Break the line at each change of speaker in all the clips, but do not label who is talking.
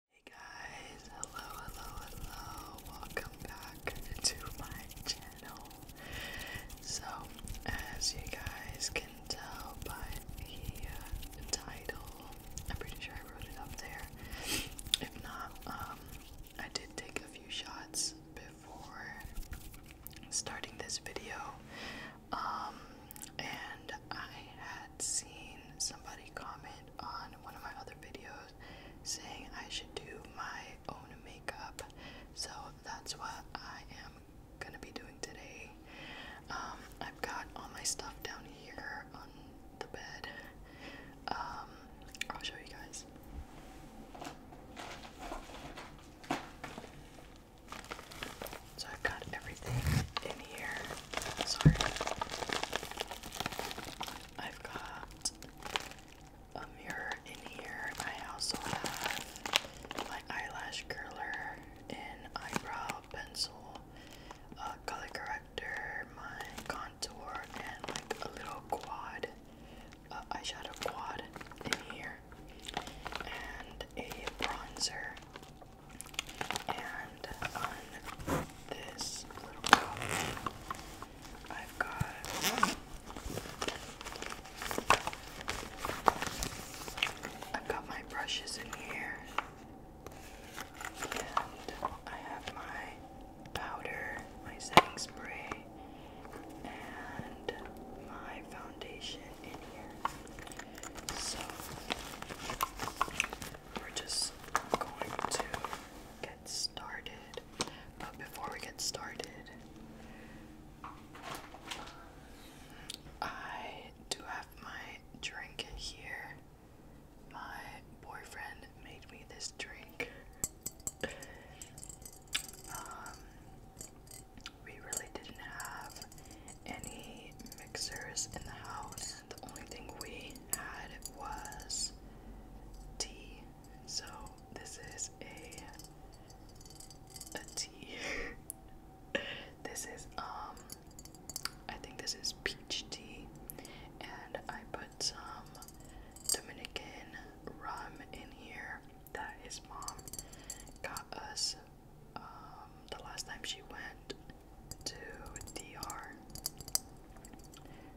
Hey guys, hello, hello, hello. Welcome back to my channel. So, as you guys can tell by the uh, title, I'm pretty sure I wrote it up there. If not, um, I did take a few shots before starting this video. Um, and I had seen somebody comment on one of my other videos saying I should do my own makeup. So that's what I am gonna be doing today. Um, I've got all my stuff down here on the bed. Um, I'll show you guys. So I've got everything in here. Sorry. I've got a mirror in here. I also have my eyelash curler, an eyebrow pencil, a color corrector, my contour, and like a little quad, uh, eyeshadow quad in here, and a bronzer. And on this little palette, I've got I've got my brushes in here, and I have my powder, my setting spray, and my foundation in here. So we're just going to get started. But before we get started, I do have my drink here. My boyfriend made me this drink. Um, we really didn't have any mixers in the house the only thing we had was tea. So this is a a tea. this is um I think this is peach tea and I put some Dominican rum in here that his mom got us um the last time she went to DR.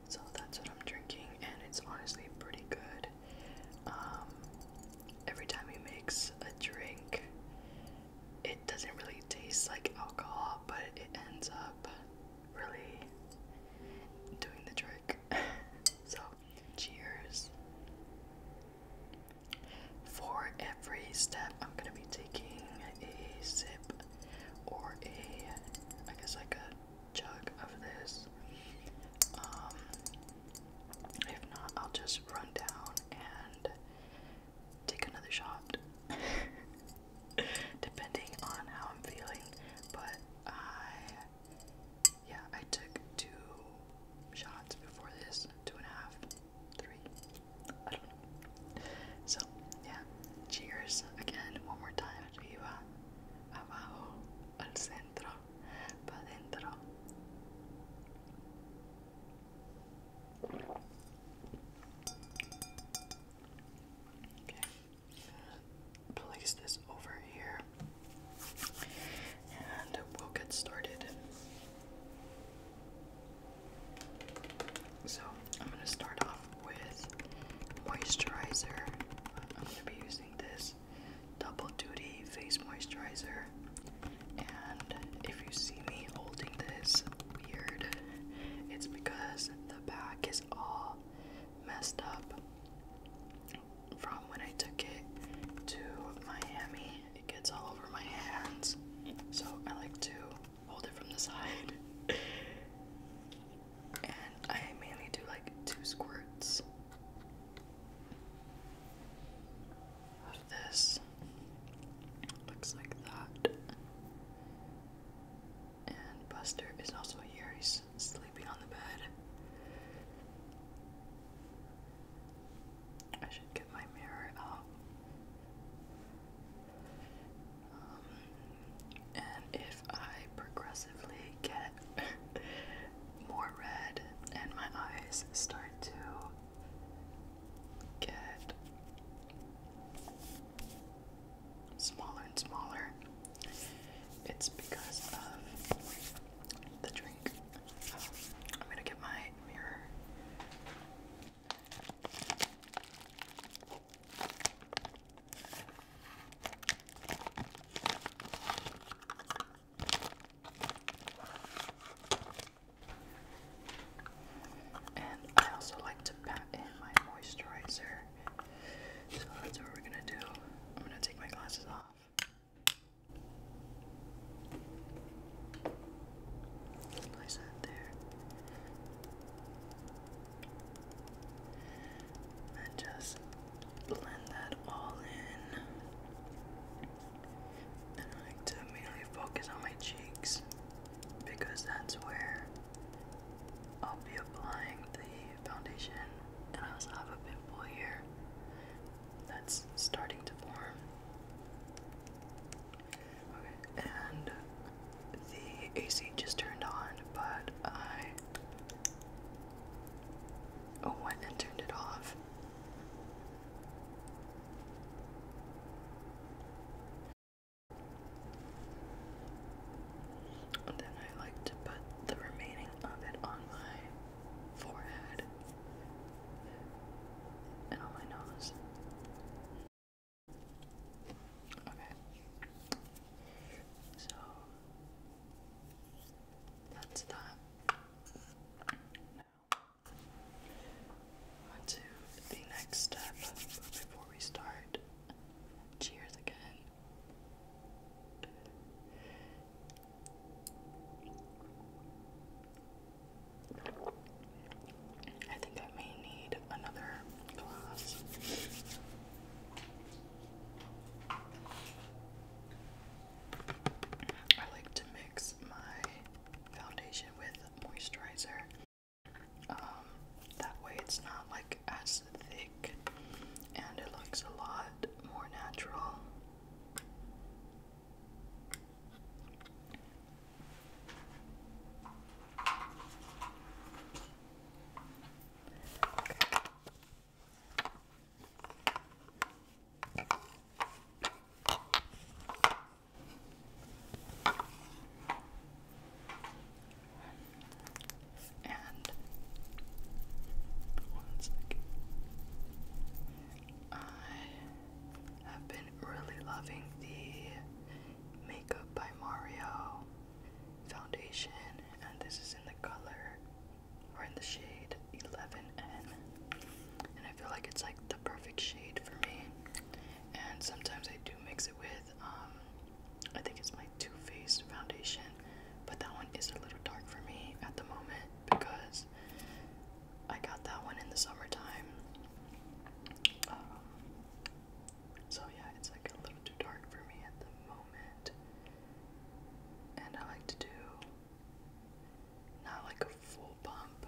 So that's what I'm drinking, and it's honestly pretty good. Um, every time he makes a drink, it doesn't really taste like alcohol, but it ends up really doing the trick. so, cheers. For every step, I'm gonna be taking a sip or a, I guess like a jug of this. Um, if not, I'll just run down and take another shot, depending on how I'm feeling. But I, yeah, I took two shots before this, two and a half, three. I don't know. So, yeah. Cheers again, one more time. Arriba, abajo, al centro, pa' dentro. Okay. Place this over here and we'll get started. So I'm gonna start off with moisturizer. I'm gonna be using this double duty face moisturizer. And if you see me holding this weird, it's because the back is all messed up from when I took it to Miami. It gets all over my hands. So I like to hold it from the side. and I mainly do like two squirts of this. Looks like that. And Buster is also here. He's sleeping on the bed. I should get my mirror out and if I progressively get more red and my eyes start to get smaller and smaller, it's because of the drink. Um, I'm gonna get my mirror and I also like to pat in my moisturizer. So that's what we're gonna do. I'm gonna take my glasses off. Place that there. And just blend that all in. And I like to mainly focus on my cheeks because that's where I'll be applying the foundation. And I also have a bit pimple here that's starting to form and the AC just turned on, but I went and turned it off. then I like to put the remaining of it on my forehead and on my nose. Okay. So that's that. Now on the next step before we start. Cheers again. I think I may need another glass. I like to mix my foundation with moisturizer. Um, that way it's not like as thick and it looks a lot more natural. And one second. I have been really loving the Makeup by Mario foundation, and this is in the color or in the shade 11N. And I feel like it's like the perfect shade for me. And sometimes I do mix it with, um, I think it's my Too Faced foundation, but that one is a little dark for me at the moment because I got that one in the summertime. Um, so yeah, it's like a little too dark for me at the moment. And I like to do not like a full pump,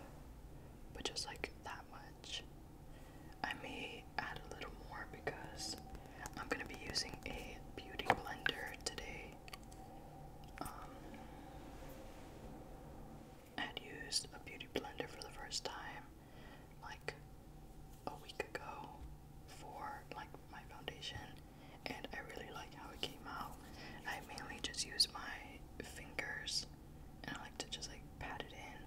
but just like that much. I may add a little more because I'm gonna be using a beauty blender today. Um, I had used a beauty blender for the first time like a week ago for like my foundation and I really like how it came out. I mainly just use my fingers and I like to just like pat it in.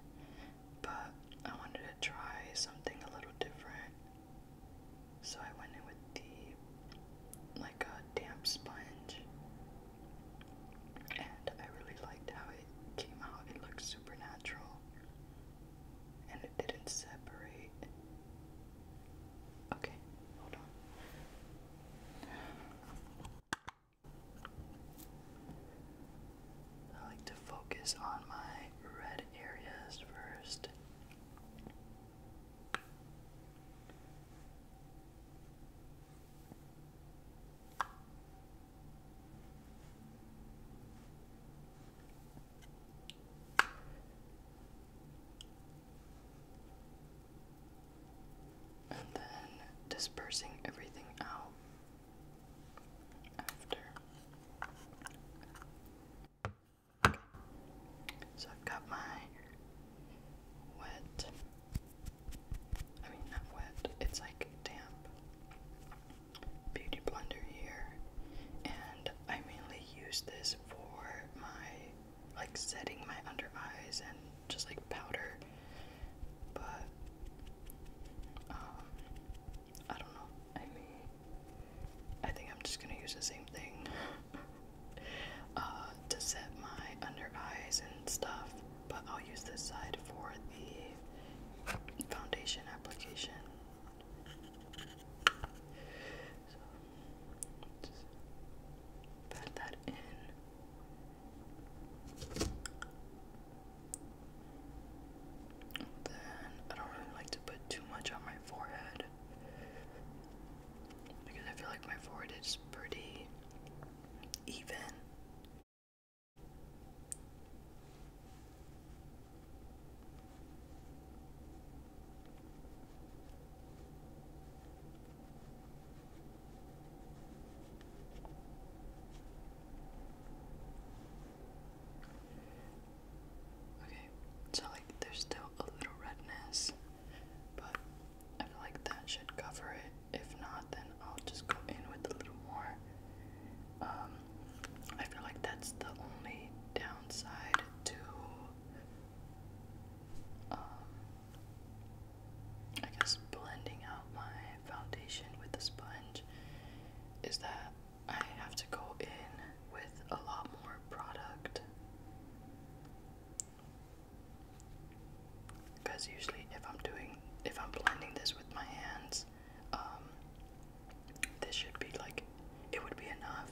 But I wanted to try something a little different. So I went in with the like a damp sponge and I really liked how it came out. It looks super natural and it didn't separate. Okay, hold on. I like to focus on my red areas first. And then dispersing everything out after. So I've got my wet, I mean, not wet, it's like damp Beauty Blender here, and I mainly use this for my like setting my under eyes and just like powder, but um, I don't know. I mean, I think I'm just gonna use the same thing uh, to set my under eyes and stuff, but I'll use this side for the foundation application. So just pat that in. Then I don't really like to put too much on my forehead because I feel like my forehead is pretty even. Okay, so like there's still a little redness, but I feel like that should cover it. If not, then I'll just go in with a little more um, I feel like that's the only downside to um, I guess blending out my foundation with the sponge is that I have to go in with a lot more product. Because usually, if I'm doing, if I'm blending this with my hands, um, this should be like, it would be enough,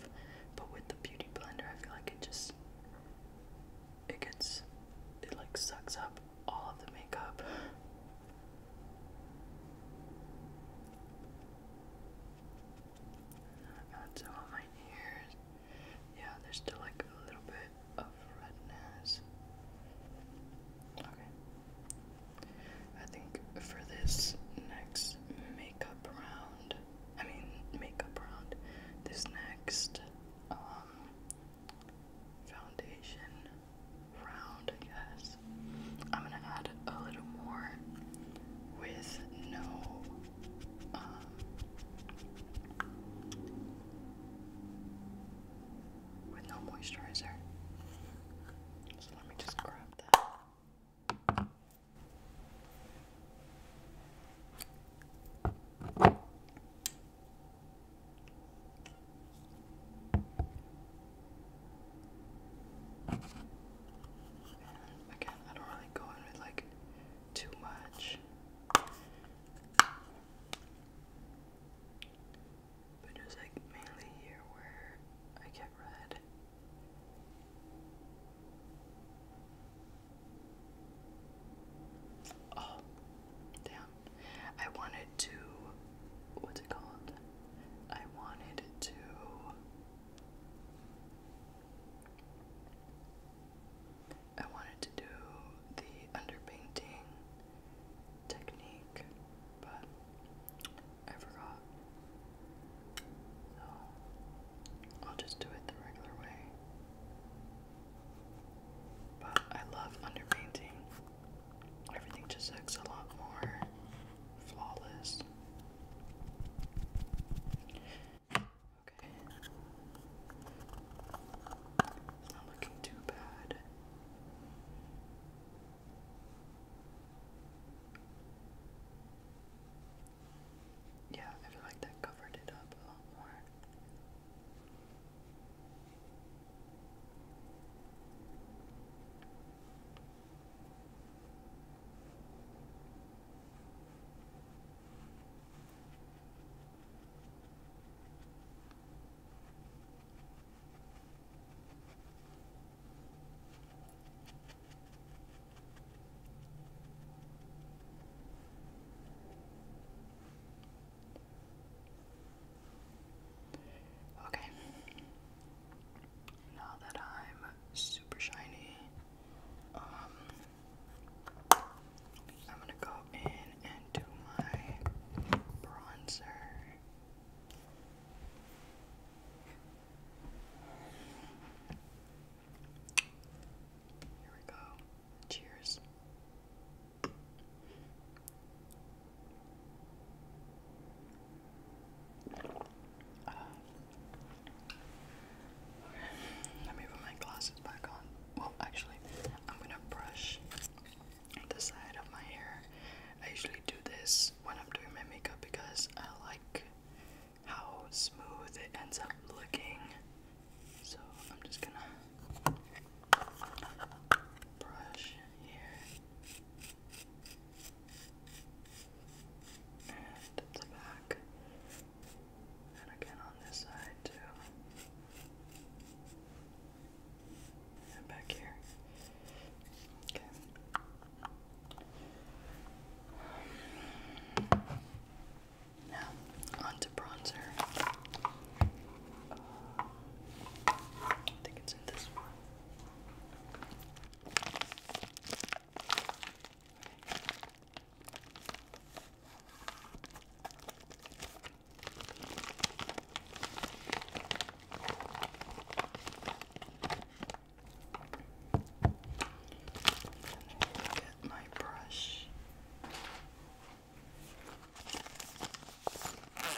but with the beauty blender, I feel like it just, it gets, it like sucks up all of the makeup. got some on my ears. Yeah, there's still like a little bit of redness. Okay. I think for this next makeup round, I mean, makeup round, this next um, foundation round, I guess, I'm gonna add a little more with no. Um, with no moisturizer. Let me just grab that. again, I don't really go in with like too much but it like mainly here where I get red. Oh, damn. I wanted to. What's it called? I wanted to. I wanted to do the underpainting technique, but I forgot. So I'll just do it the regular way. But I love underpainting. Everything just looks a lot more flawless. Okay. It's not looking too bad. Yeah, I feel like that covered it up a lot more. Okay. Now that I'm super shiny, um, I'm gonna go in and do my bronzer. Here we go. Cheers. let me put my glasses back on. Well, actually, I'm gonna brush the side of my hair I usually do this when I'm doing my makeup because I like how smooth it ends up looking. So I'm just gonna brush here and the back, and again on this side too back here. Okay. Now, on bronzer. Uh, I think it's in this Get my brush. Okay,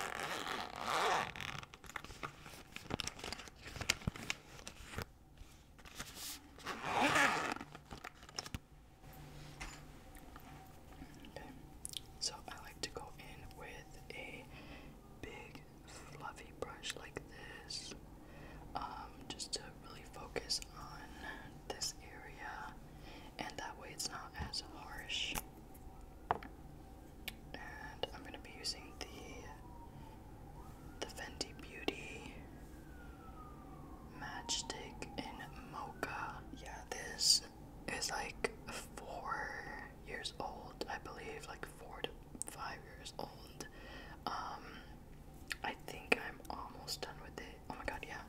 so I like to go in with a big fluffy brush like this um, just to really focus on this area and that way it's not as harsh. And I'm going to be using the, the Fenty Beauty matchstick in Mocha. Yeah, this is like four years old, I believe, like four five years old. Um, I think I'm almost done with it. Oh my god, yeah.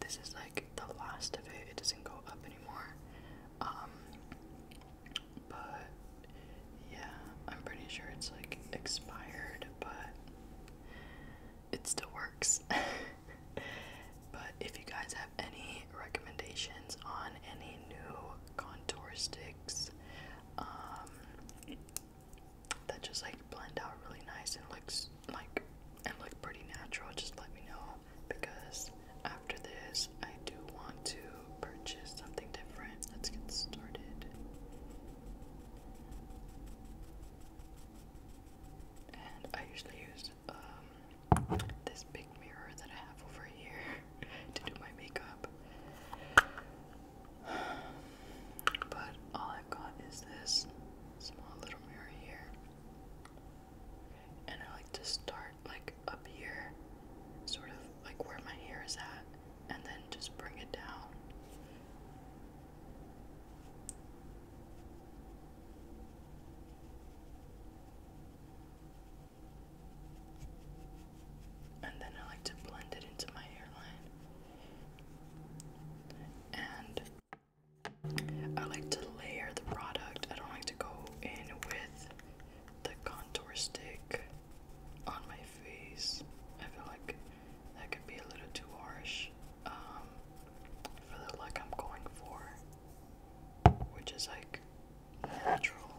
This is like the last of it. It doesn't go up anymore. Um, but yeah, I'm pretty sure it's like expired, but it still works. but if you guys have any recommendations on any new contour sticks um, that just like blend out really nice and looks like and look pretty natural. Just let me know because after this, I do want to purchase something different. Let's get started. And I usually use um, this big mirror that I have over here to do my makeup. But all I've got is this small little mirror here. And I like to start like up here, sort of like where my hair is at, and then just bring it down. And then I like to blend it into my hairline. And I like to layer the product. I don't like to go in with the contour stick on my face. I feel like that could be a little too harsh um, for the look I'm going for, which is like natural.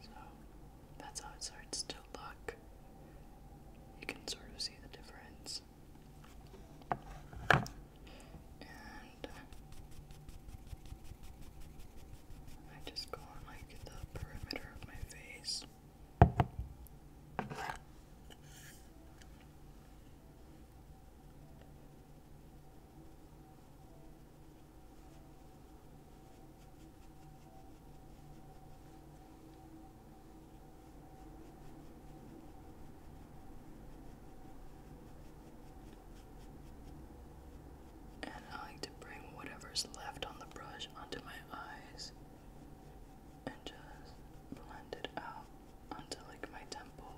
So that's how it starts to look. You can sort of see the difference. And I just go on like the perimeter of my face. And I like to bring whatever's left on the brush onto my eyes and just blend it out onto like my temple.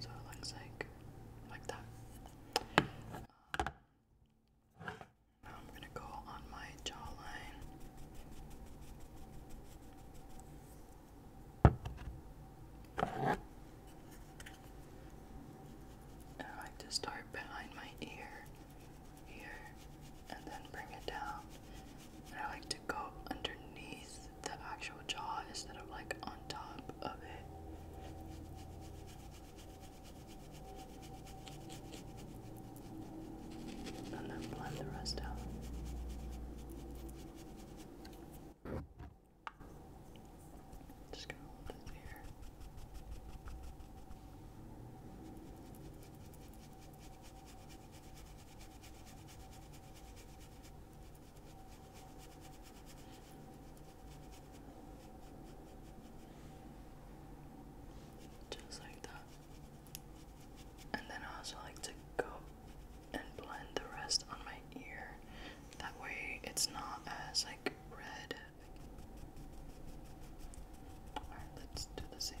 So it looks like like that. now I'm gonna go on my jawline. And I like to start behind my ear here, and then bring it down. And I like to go underneath the actual jaw instead of like on top of it. And then blend the rest out. Just gonna hold this here. Just like that. And then I also like to go and blend the rest on my ear. That way it's not as like red. Alright, let's do the same.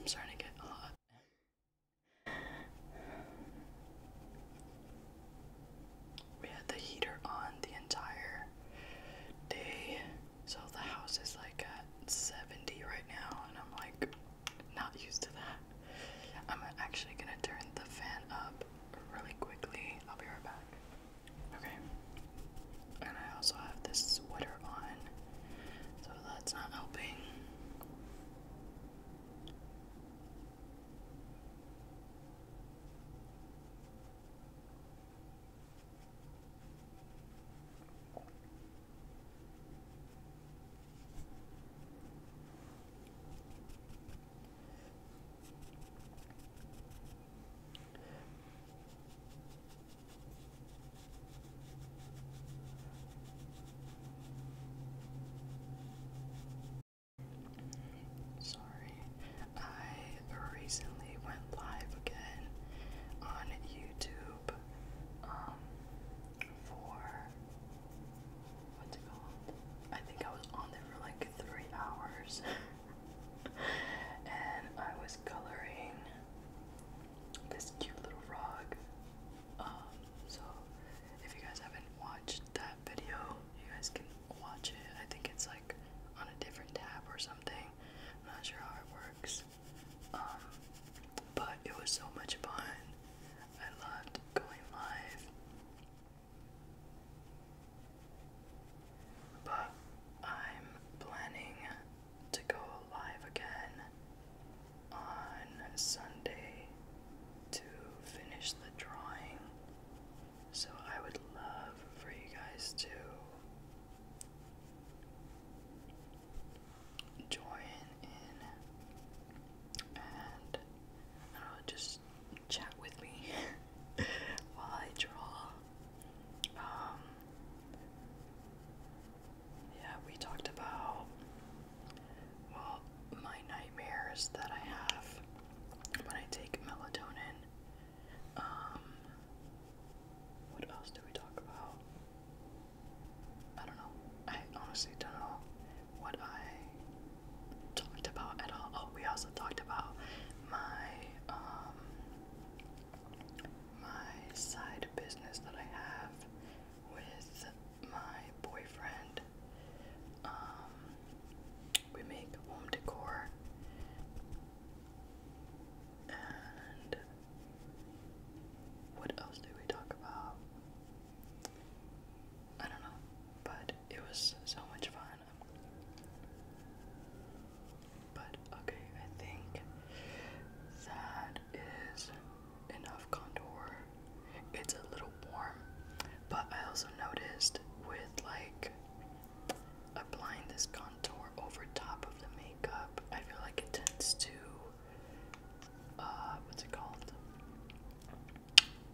I'm starting to get hot. We had the heater on the entire day, so the house is like at 70 right now, and I'm like not used to that. I'm actually gonna turn the fan up really quickly. I'll be right back. Okay. And I also have this sweater on, so that's not helping. Sorry, I recently went live again on YouTube. Um, for what's it called? I think I was on there for like three hours and I was coloring this cute little frog. Um, so if you guys haven't watched that video, you guys can watch it. I think it's like on a different tab or something. I'm not sure how it works. Um, but it was so much fun. I loved going live. But I'm planning to go live again on Sunday to finish the drawing. So I would love for you guys to join in and just chat with me while I draw. Um, yeah, we talked about, well, my nightmares that I have when I take melatonin. Um, what else did we talk about? I don't know. I honestly don't know what I talked about at all. Oh, we also talked about my um my side business that I have with my boyfriend. Um we make home decor and what else do we talk about? I don't know, but it was so much fun. But okay, I think that is enough contour. It's a little warm, but I also noticed with like applying this contour over top of the makeup, I feel like it tends to uh what's it called?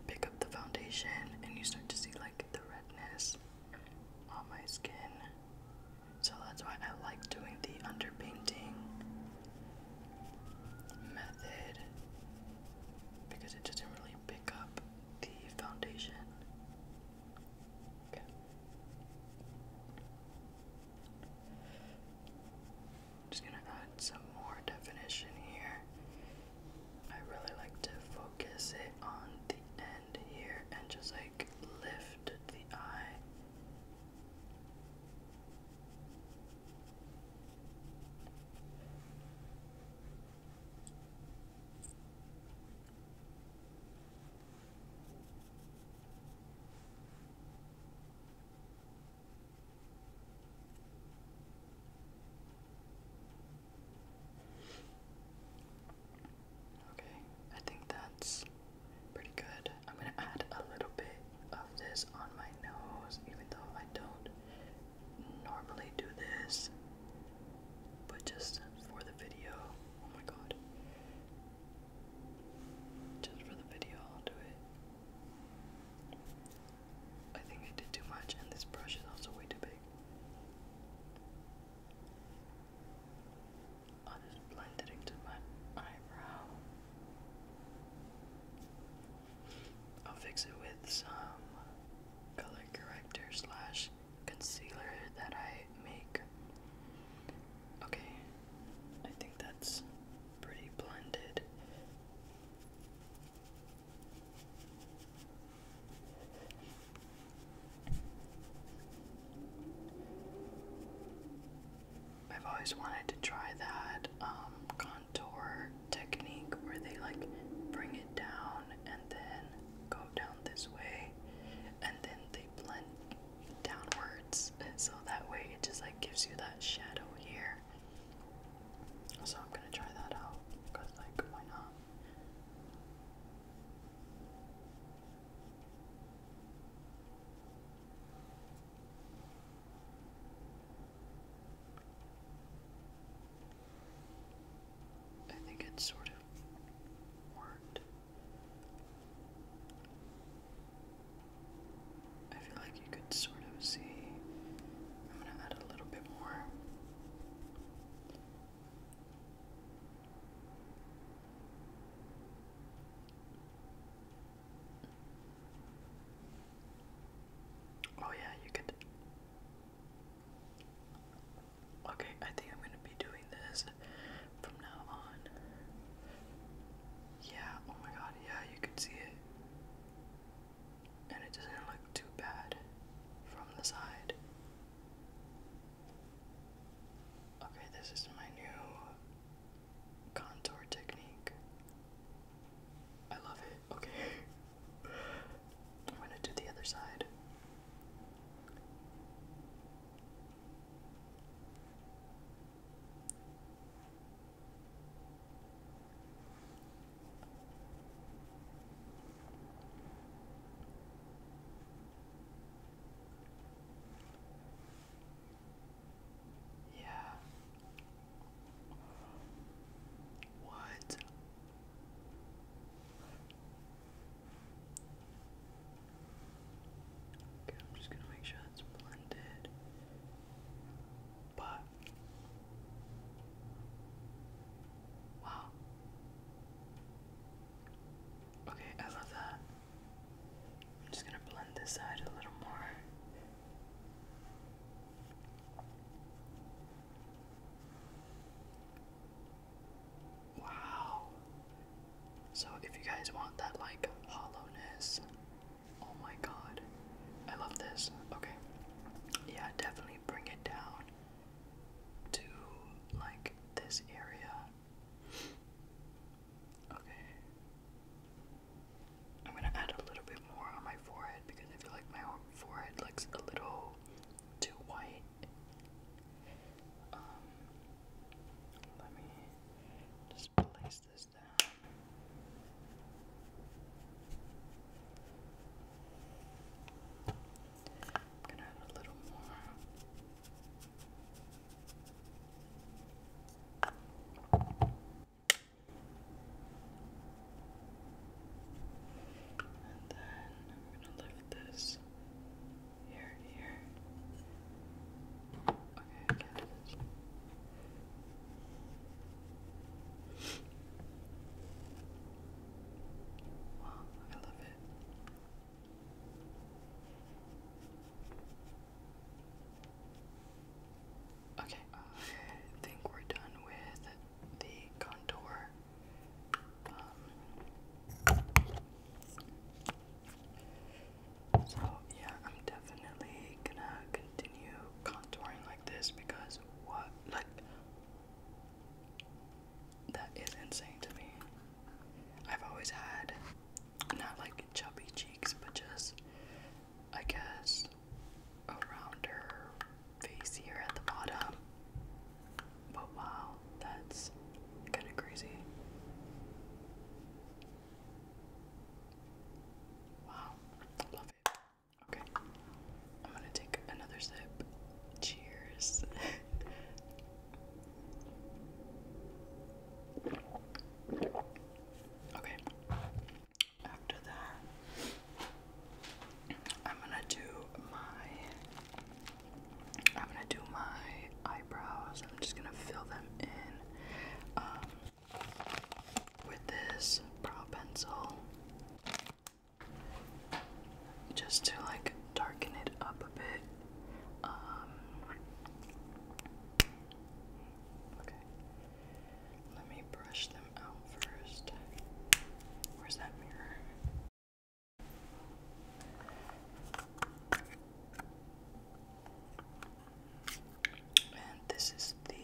pick up the foundation and you start to see like the redness on my skin. So that's why I like doing the underpainting method because it doesn't really pick up the foundation. Okay. Just gonna add some more definition here. I really like to focus it on the end here and just like lift the eye. Okay, I think that's pretty good. I'm gonna add a little bit of this on my nose, even though I don't normally do this, but just for the video. Oh my god. Just for the video, I'll do it. I think I did too much, and this brush is also way too big. I'll just blend it into my eyebrow. I'll fix it with some color corrector slash concealer that I make. Okay, I think that's pretty blended. I've always wanted to try that um, contour technique where they like bring it down and then go down this way and then they blend downwards, and so that way it just like gives you that shadow here. So I'm gonna try that out, because, like, why not? I think it sort of worked. I feel like you could sort of see. I'm going to add a little bit more. Oh, yeah, you could. Okay, I think I'm gonna be doing this from now on. Yeah, oh my god, yeah, you could see it and it doesn't look too bad from the side. Okay, this is my new contour technique. I love it. Okay. I'm going to do the other side. Yeah. What? Okay, I'm just gonna make sure it's blended. But wow. Okay, I love that. I'm just gonna blend this side a little more. Wow. So if you guys want that like hollowness, oh my god. I love this. Okay. Yeah, definitely bring it down to like this area. Okay. I'm gonna add a little bit more on my forehead because I feel like my forehead looks a little too white. Um, let me just place this down. I'm gonna add a little more. And then I'm gonna lift this here, here. Okay, Wow, I love it. Okay, uh, I think we're done with the contour. Um, so, yeah, I'm definitely gonna continue contouring like this because what, like, that is insane to me. I've always had not like chubby cheeks, but just I guess a rounder face here at the bottom. But wow, that's kind of crazy. Wow, love it. Okay. I'm gonna take another sip. Cheers. okay. After that, I'm gonna do my I'm gonna do my eyebrows. I'm just gonna fill them in um with this brow pencil just to like darken it up a bit. Um, okay, let me brush them out first. Where's that mirror? And this is the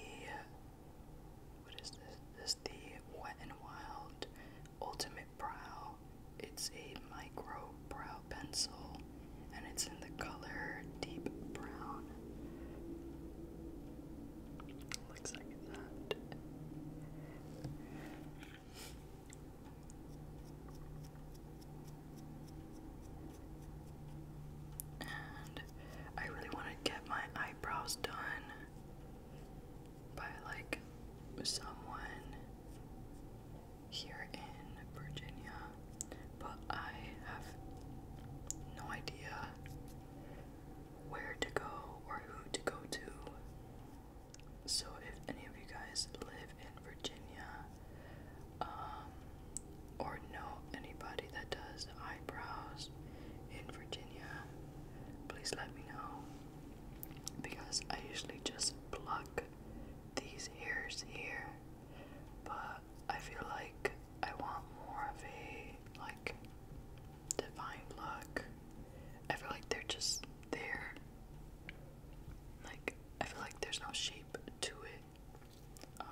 what is this? This is the Wet n Wild Ultimate Brow. It's a micro brow pencil and it's in the color deep brown. Looks like that. And I really want to get my eyebrows done by like someone here in Virginia, but I have no idea where to go or who to go to. So, if any of you guys live in Virginia um, or know anybody that does eyebrows in Virginia, Virginia, please let me know because I usually just pluck these hairs here, but I feel like I want more of a like defined look. I feel like they're just there. Like I feel like there's no shape to it. Um,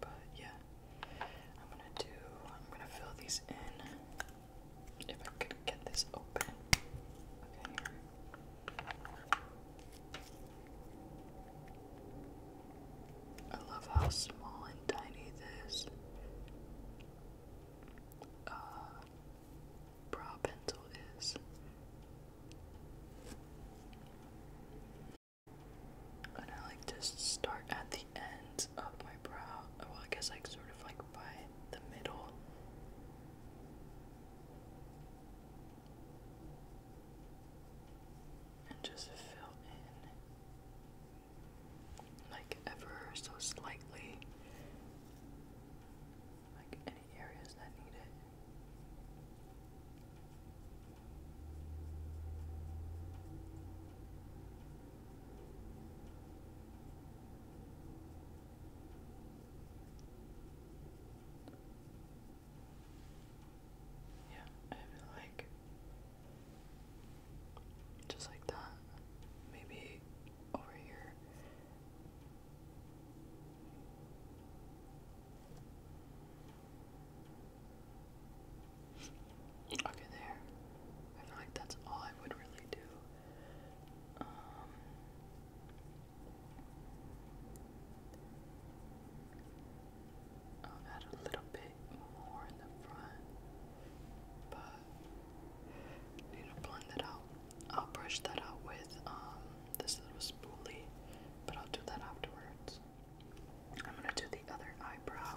but yeah, I'm gonna do, I'm gonna fill these in. If I could get this open. Okay, I love how small and tiny this uh, brow pencil is. And I like to start at the end of my brow. Well, I guess like sort of like by the middle. And just fill in like ever so slightly. Like any areas that need it. Yeah, I feel like just like that. Maybe over here. Okay, there. I feel like that's all I would really do. Um, I'll add a little bit more in the front, but I need blend it out. I'll brush that out with um, this little spoolie, but I'll do that afterwards. I'm gonna do the other eyebrow.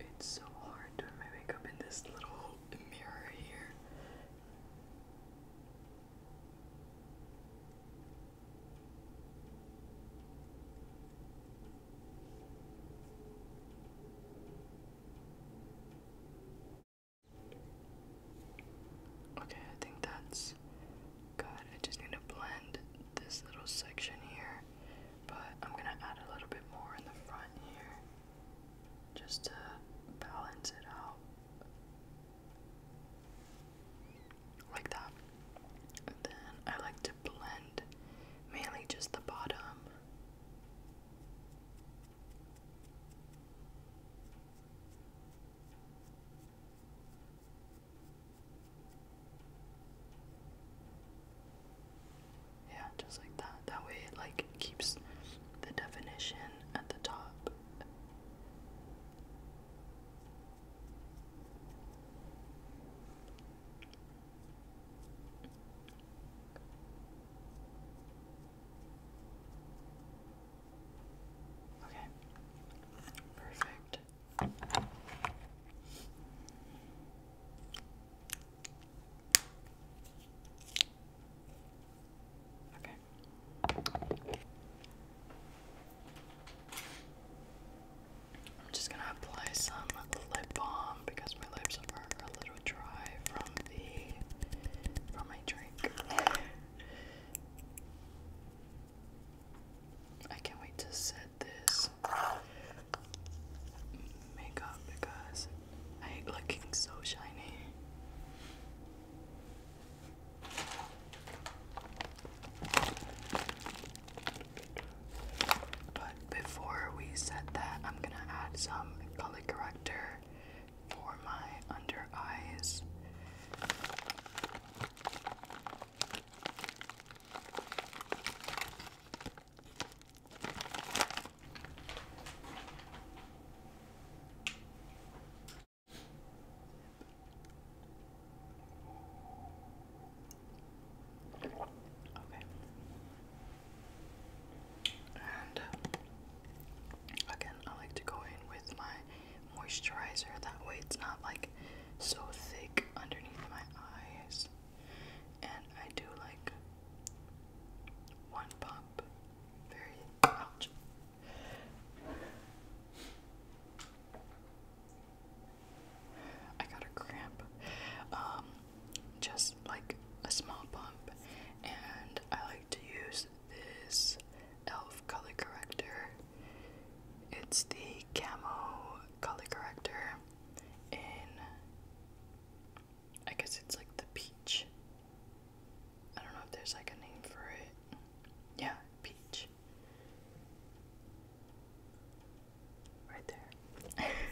It's so hard doing my makeup in this little mirror here. Okay, I think that's good. I just need to blend this little section here, but I'm gonna add a little bit more in the front here just to balance it out. Like that. And then I like to blend mainly just the bottom. Yeah, just like that. That way it like keeps the definition at the top. Okay. Perfect. Okay. I'm just gonna apply some lip balm because my lips are a little dry from the from my drink. I can't wait to set this makeup because I hate looking so shiny. But before we set that, I'm gonna add some color corrector for my under eyes. Okay. And Again, I like to go in with my moisturizer, that way it's not like so thick underneath my eyes. And I do like one pump, very ouch. I got a cramp. Um, just like a small bump. and I like to use this e.l.f. color corrector. It's the camo color corrector in, I guess it's like the peach. I don't know if there's like a name for it. Yeah, peach. Right there.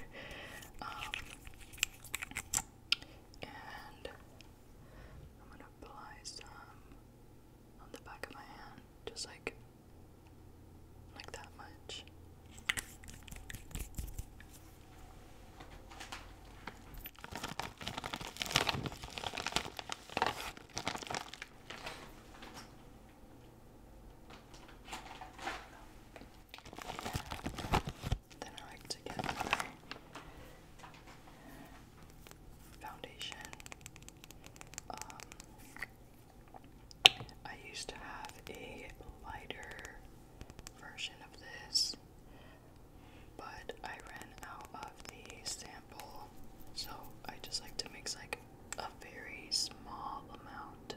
Um, and I'm gonna apply some on the back of my hand, just like like that much. Then I like to get foundation. Um, I used to have a lighter version of this, but I ran out of the sample, so I just like to mix like a very small amount.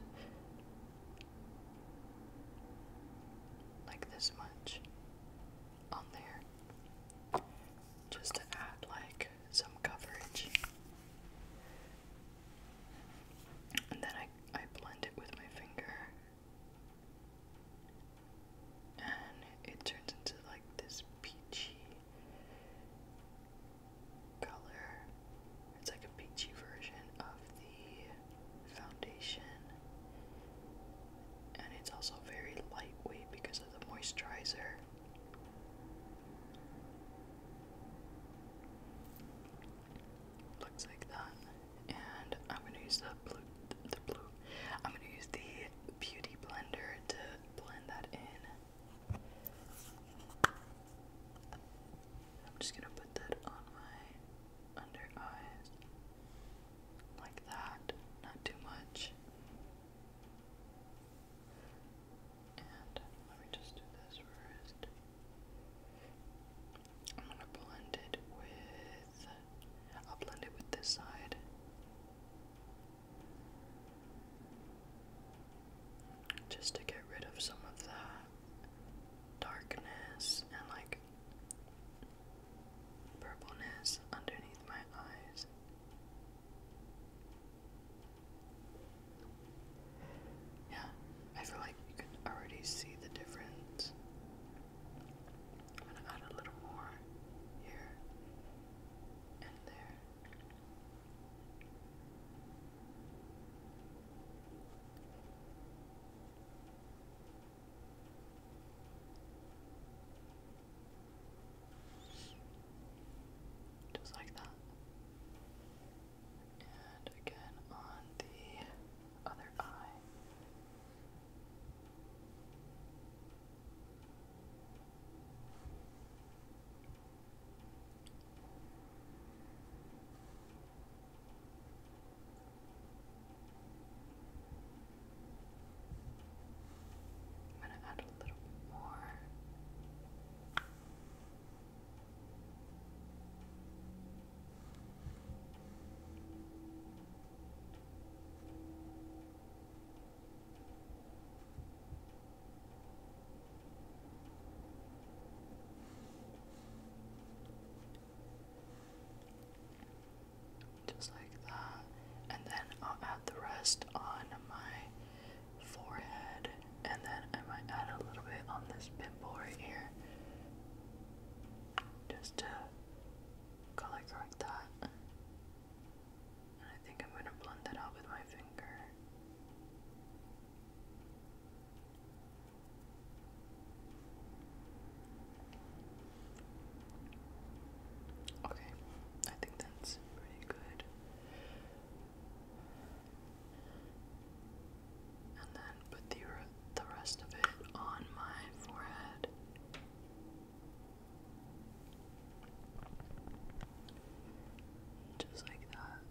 Like this much on there just to add like some coverage. And then I, I blend it with my finger. And it turns into like this peachy color. It's like a peachy version of the foundation and it's also very lightweight because of the moisturizer. Looks like that, and I'm gonna use the blue. The blue. I'm gonna use the beauty blender to blend that in. I'm just gonna put that on my under eyes like that, not too much. And let me just do this first. I'm gonna blend it with. I'll blend it with this side. Just to get rid of some of that darkness and like purpleness underneath my eyes. Yeah, I feel like you can already see the difference. I'm gonna add a little more here and there. Just like that. And again on the other eye. I'm going to add a little bit more just like that. And then I'll add the rest on my forehead. And then I might add a little bit on this pimple right here. Just to color correct that. And I think I'm going to blend that out with my finger. Okay, I think that's pretty good. And then put the, rest of it on my forehead. Just like that.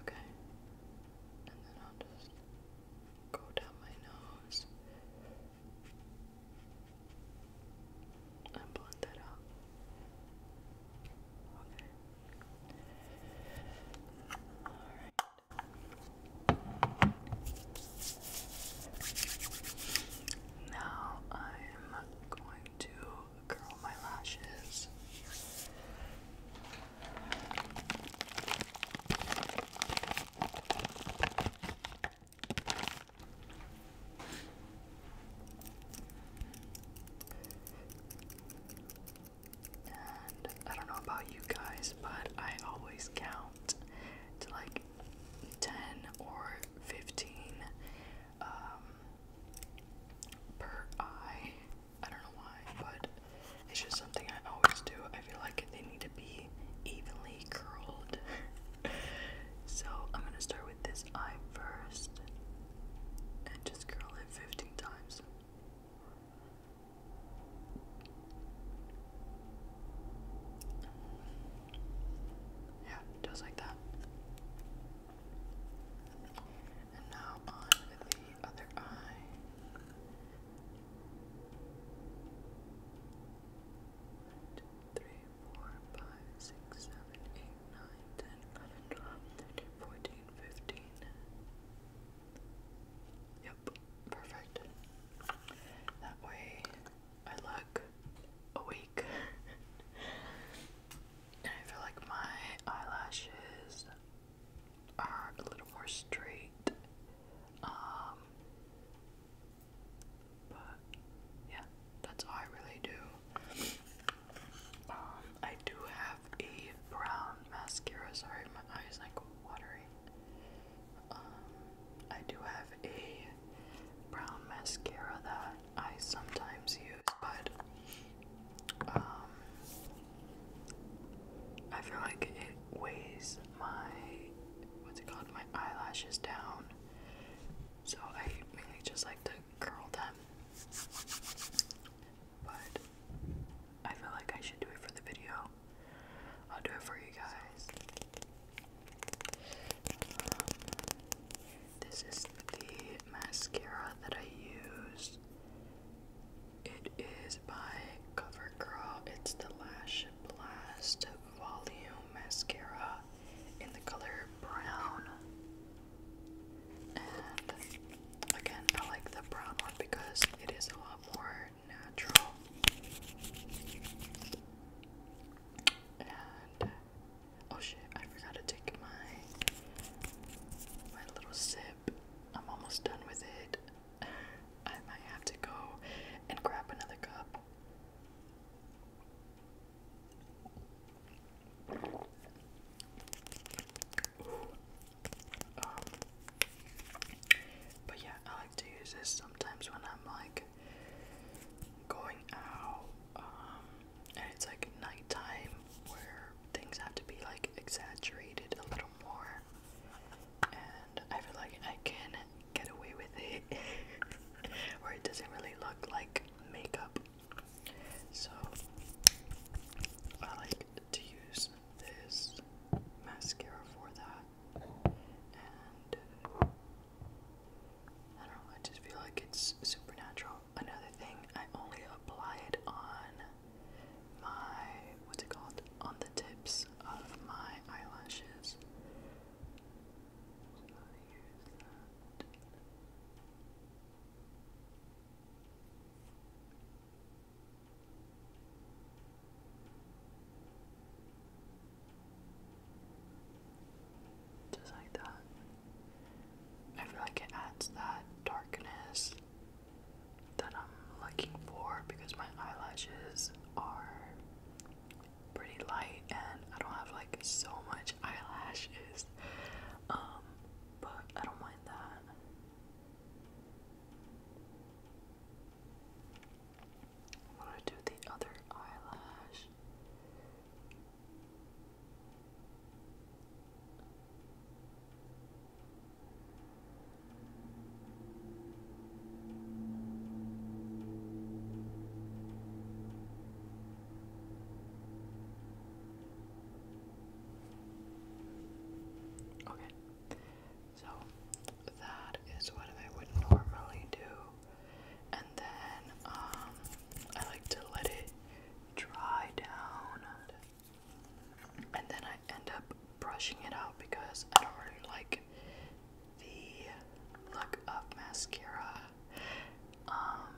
Okay. And then I'll just go down my nose and blend that out. Okay. Alright. Now I'm going to my lashes. I don't know about you guys, but I always count to like 10 or 15 um, per eye. I don't know why, but it's just something I always do. I feel like they need to be evenly curled. so I'm gonna start with this eye first and just curl it 15 times. Yeah, just like that. And now on the other eye. One, two, three, four, five, six, seven, eight, nine, ten, eleven, twelve, thirteen, fourteen, fifteen. Yep, perfect. That way I look awake. I feel like my eyelashes are a little more straight. Um, but yeah, that's all I really do. Um, I do have a brown mascara. Sorry, my eyes like watery. Um, I do have a brown mascara that I sometimes use, but um, I feel like it weighs my what's it called my eyelashes down, so I mainly just like to curl them. But I feel like I should do it for the video. I'll do it for you guys. This is the mascara that I use. It is by CoverGirl. It's the Lash Blast Volume Mascara in the color brown. And again, I like the brown one because it is a lot more natural. And Oh shit, I forgot to take my my little sip. I'm almost done with it. I might have to go and grab another cup. Um, but yeah, I like to use this sometimes when I'm like going out. Um, and it's like nighttime where things have to be like exaggerated a little more. And I feel like I can get away with it where it doesn't really look like makeup. So I like to use this mascara for that. And I don't know, I just feel like it's supernatural another thing, I only apply it on my, what's it called? On the tips of my eyelashes. Just like that. I feel like it adds that darkness that I'm looking for because my eyelashes are pretty light and I don't have like so much eyelashes. Um, but I don't mind that. I'm gonna do the other eyelash. Okay, so that is what I would normally do, and then um, I like to let it dry down. And then I end up brushing it out because I don't really like the look of mascara. Um,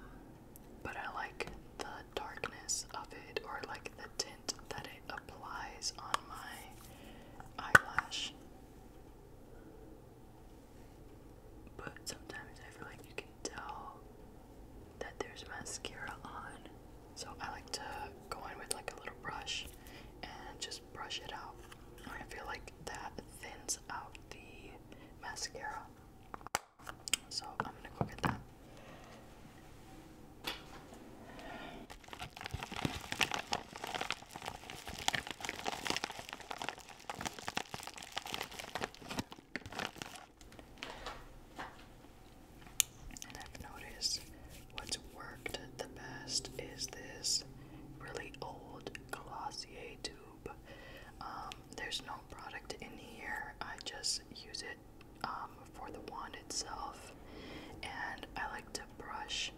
but I like the darkness of it or like the tint that it applies on my eyelash. But sometimes I feel like you tell that there's mascara on. So I like to go in with like a little brush and just brush it out. I feel like that thins out the mascara. So I'm gonna go get that. And I've noticed what's worked the best is this really old Glossier tube. Um, there's no product in here, I just use it um, for the wand itself. And I like to brush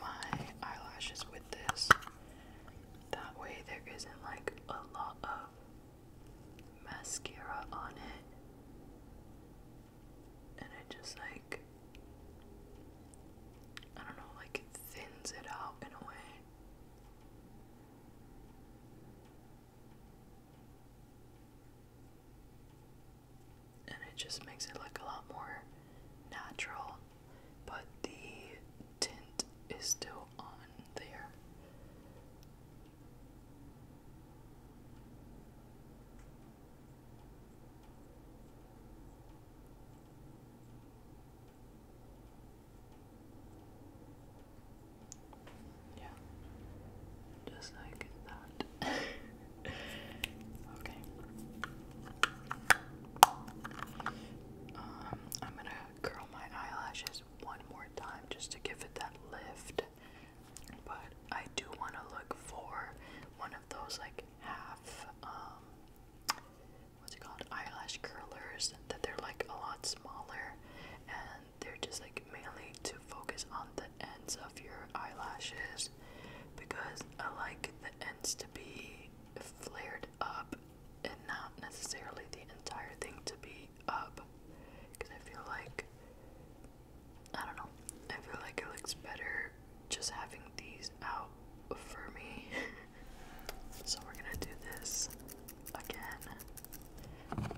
my eyelashes with this. That way, there isn't like a lot of mascara on it, and it just like I don't know, like thins it out in a way. And it just makes it look a lot more natural. But the tint is still on there. Yeah, just like that. okay. Um, I'm gonna curl my eyelashes one more time just to give it that lift. But I do want to look for one of those like half, um, what's it called, eyelash curlers that they're like a lot smaller and they're just like mainly to focus on the ends of your eyelashes because I like the ends to be flared up and not necessarily the entire thing to be up because I feel like I don't know. I feel like it looks better just having these out for me. so we're gonna do this again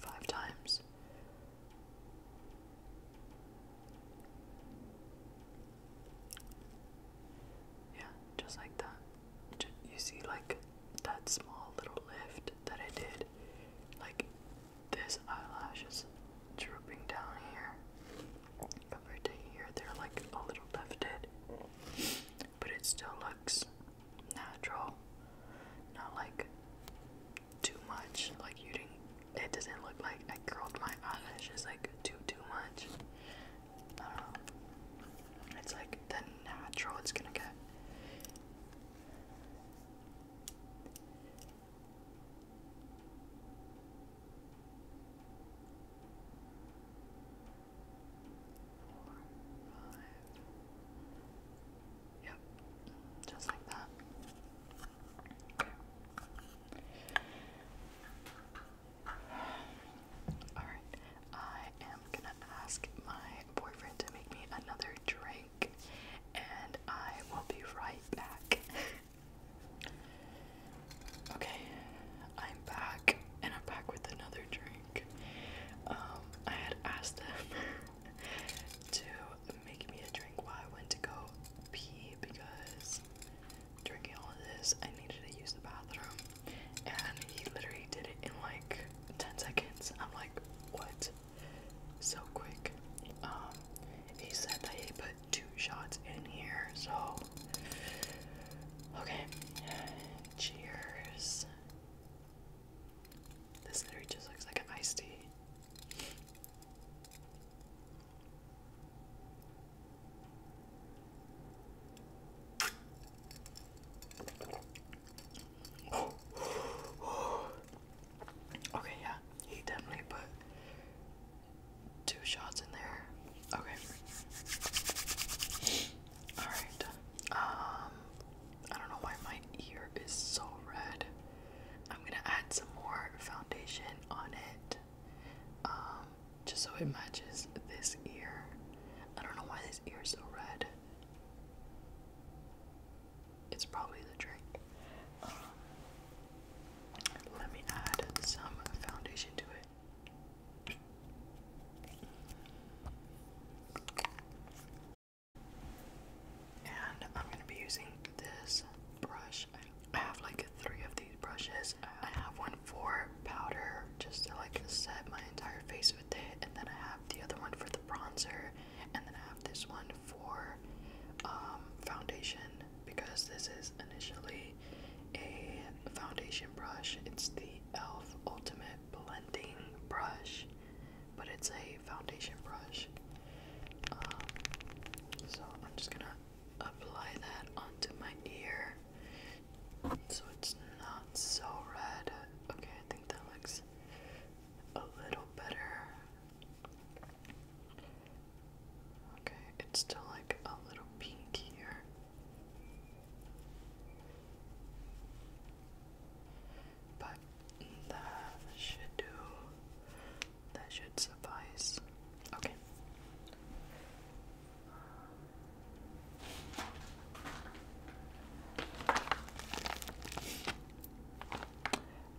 five times. Yeah, just like that you see like that small little lift that I did, like this eyelash is drooping down here compared to here. They're like a little lifted, but it still looks natural, not like too much. Like you didn't. It doesn't look like I curled my eyelashes like too too much. Uh, it's like the natural it's gonna get. Yep, just like that. Okay. Alright, I am gonna ask my boyfriend to make me another drink, and I will be right back. okay, I'm back, and I'm back with another drink. Um, I had asked them to make me a drink while I went to go pee because drinking all of this, I needed to use the bathroom and he literally did it in like 10 seconds. I'm like, what? So quick. Um, he said that he put two shots in here, so okay. Cheers. This literally just looks like an iced tea. Okay, yeah, he definitely put two shots in there. Okay. Alright. Um I don't know why my ear is so red. I'm gonna add some more foundation on it. Um, just so it matches this ear. I don't know why this ear is so red. It's probably the trick. Um, let me add some foundation to it. And I'm going to be using this brush. I have like three of these brushes. I have one for powder just to like set my entire face and then I have the other one for the bronzer, and then I have this one for um, foundation because this is initially a foundation brush. It's the e.l.f. Ultimate Blending Brush, but it's a foundation brush. Um, so I'm just gonna apply that onto my ear so it's not so red. Okay, I think that looks a little better. Okay, it's still like a little pink here. But that should do. That should suffice. Okay.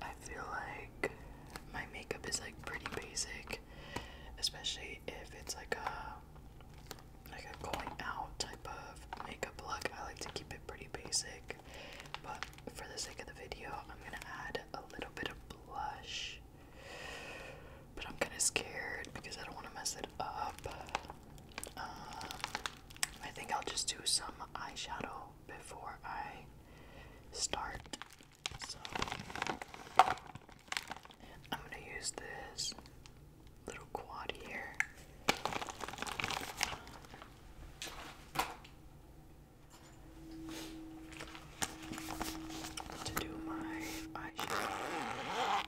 I feel like my makeup is like pretty basic, especially if it's like a like a going out type of makeup look. I like to keep it pretty basic, but for the sake of the video, I'm gonna add a little bit of blush. But I'm kind of scared because I don't want to mess it up. Um, I think I'll just do some eyeshadow before I start. So I'm gonna use this little quad here. To do my eyeshadow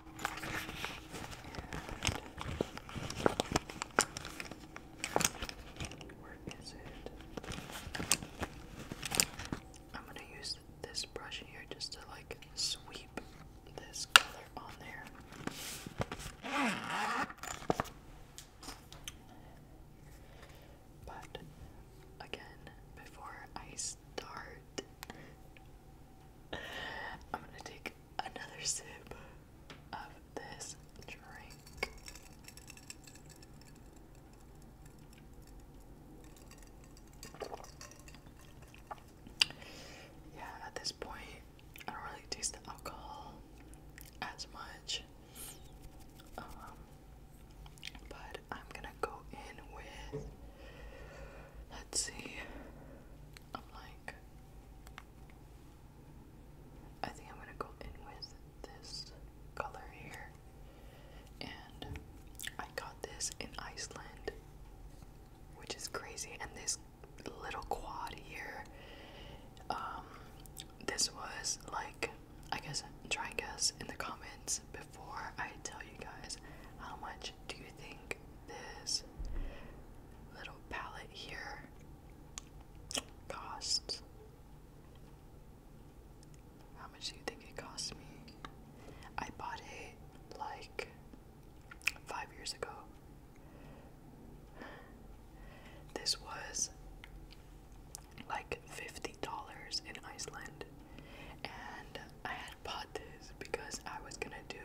where is it? I'm gonna use this brush here just to like sweep this color on there. But again, before I start, I'm gonna take another sip of this drink. Yeah, at this point, I don't really taste the alcohol as much. Um, but I'm gonna go in with, let's see, I'm like I think I'm gonna go in with this color here. And I got this in Iceland, which is crazy. And this little quad here, um, this was like, I guess, try and guess in the comments before I tell you guys how much do you think this little palette here Costs. How much do you think it cost me? I bought it like five years ago. This was like $50 in Iceland, and I had bought this because I was gonna do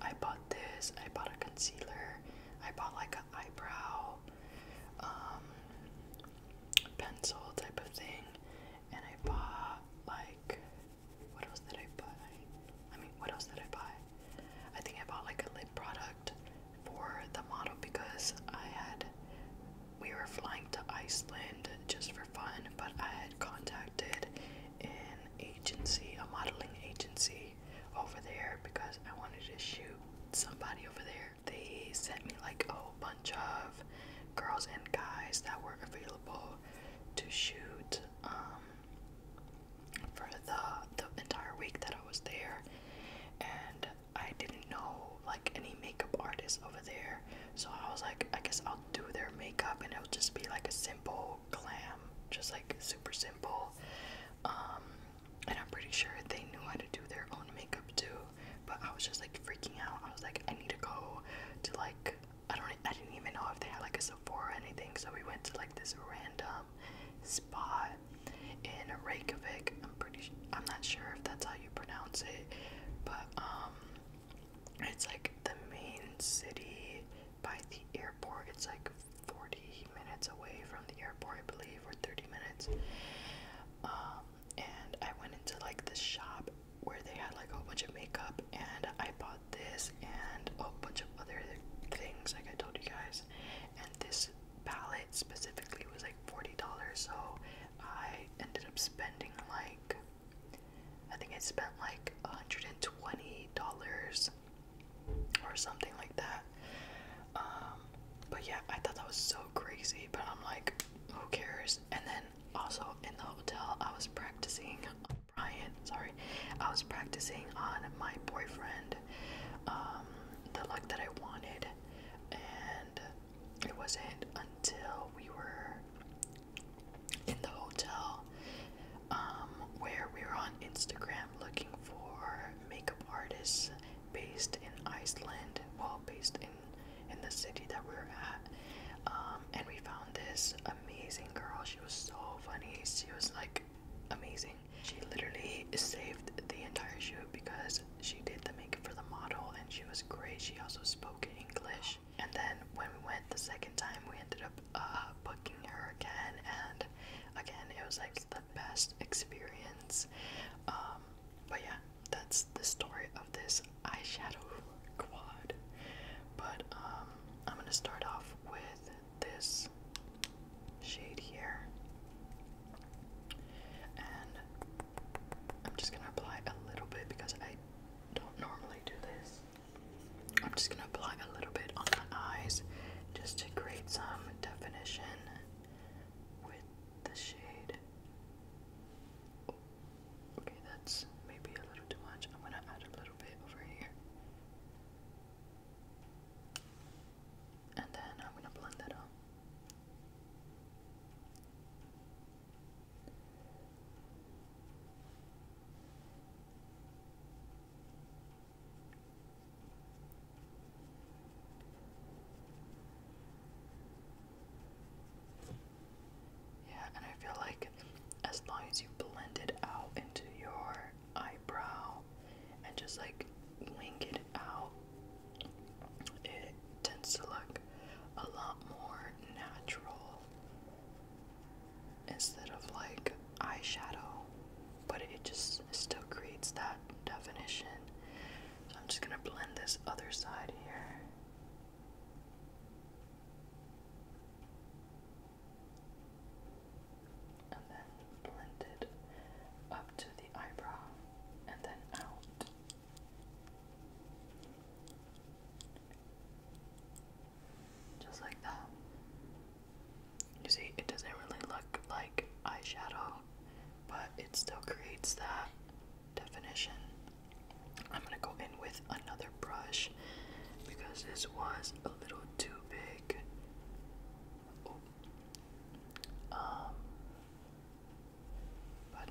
I bought this, I bought a concealer, I bought like an eyebrow um pencil type of thing and I bought like what else did I buy? I mean what else did I buy? I think I bought like a lip product for the model because I had we were flying to Iceland just for fun, but I had contacted an agency, a modeling agency over there because I wanted to shoot somebody over there. They sent me like a whole bunch of girls and guys that were available to shoot um, for the the entire week that I was there, and I didn't know like any makeup artists over there, so I was like, I guess I'll do their makeup and it'll just be like a simple Clam, just like super simple. Um, and I'm pretty sure they knew how to do their own makeup too. But I was just like freaking out. I was like, I need to go to like I don't I didn't even know if they had like a Sephora or anything. So we went to like this random spot in Reykjavik. I'm pretty I'm not sure if that's how you pronounce it, but um it's like the main city by the airport. It's like 40 minutes away from the airport, I believe, or 30 minutes. Um, and I went into like this shop where they had like a bunch of makeup, and I bought this and a bunch of other things, like I told you guys. And this palette specifically was like $40, so I ended up spending like I think I spent like $120 or something like that. Um, but yeah, I thought that was so crazy, but I'm like, who cares? And then also in the hotel, I was practicing Brian, sorry, I was practicing on my boyfriend, um, the luck that I wanted, and it wasn't until we were in the hotel um, where we were on Instagram looking for makeup artists based in Iceland, well, based in in the city that we are at, um, and we found this amazing girl. She was so funny. She was like amazing. She literally saved the entire shoot because she did the makeup for the model, and she was great. She also spoke English. And then when we went the second time, we ended up uh, her again, and again, it was like the best experience. Um, but yeah, that's the story of this eyeshadow quad. But um, I'm gonna start off with this shade here, and I'm just gonna apply a little bit because I don't normally do this. I'm just going to apply a little bit on my eyes just to create some definition with the shade. okay, that's maybe a little too much. I'm going to add a little bit over here. And then I'm going to blend that out. Yeah, and I feel like as long as you blend it out into your eyebrow and just like wing it out, it tends to look a lot more natural instead of like eyeshadow, but it just still creates that definition. So I'm just gonna blend this other side here. And then blend it up to the eyebrow and then out. Just like that. You see, it doesn't really look like eyeshadow, but it still creates that definition. I'm gonna go in with another brush because this was a little too big. Oh. Um, but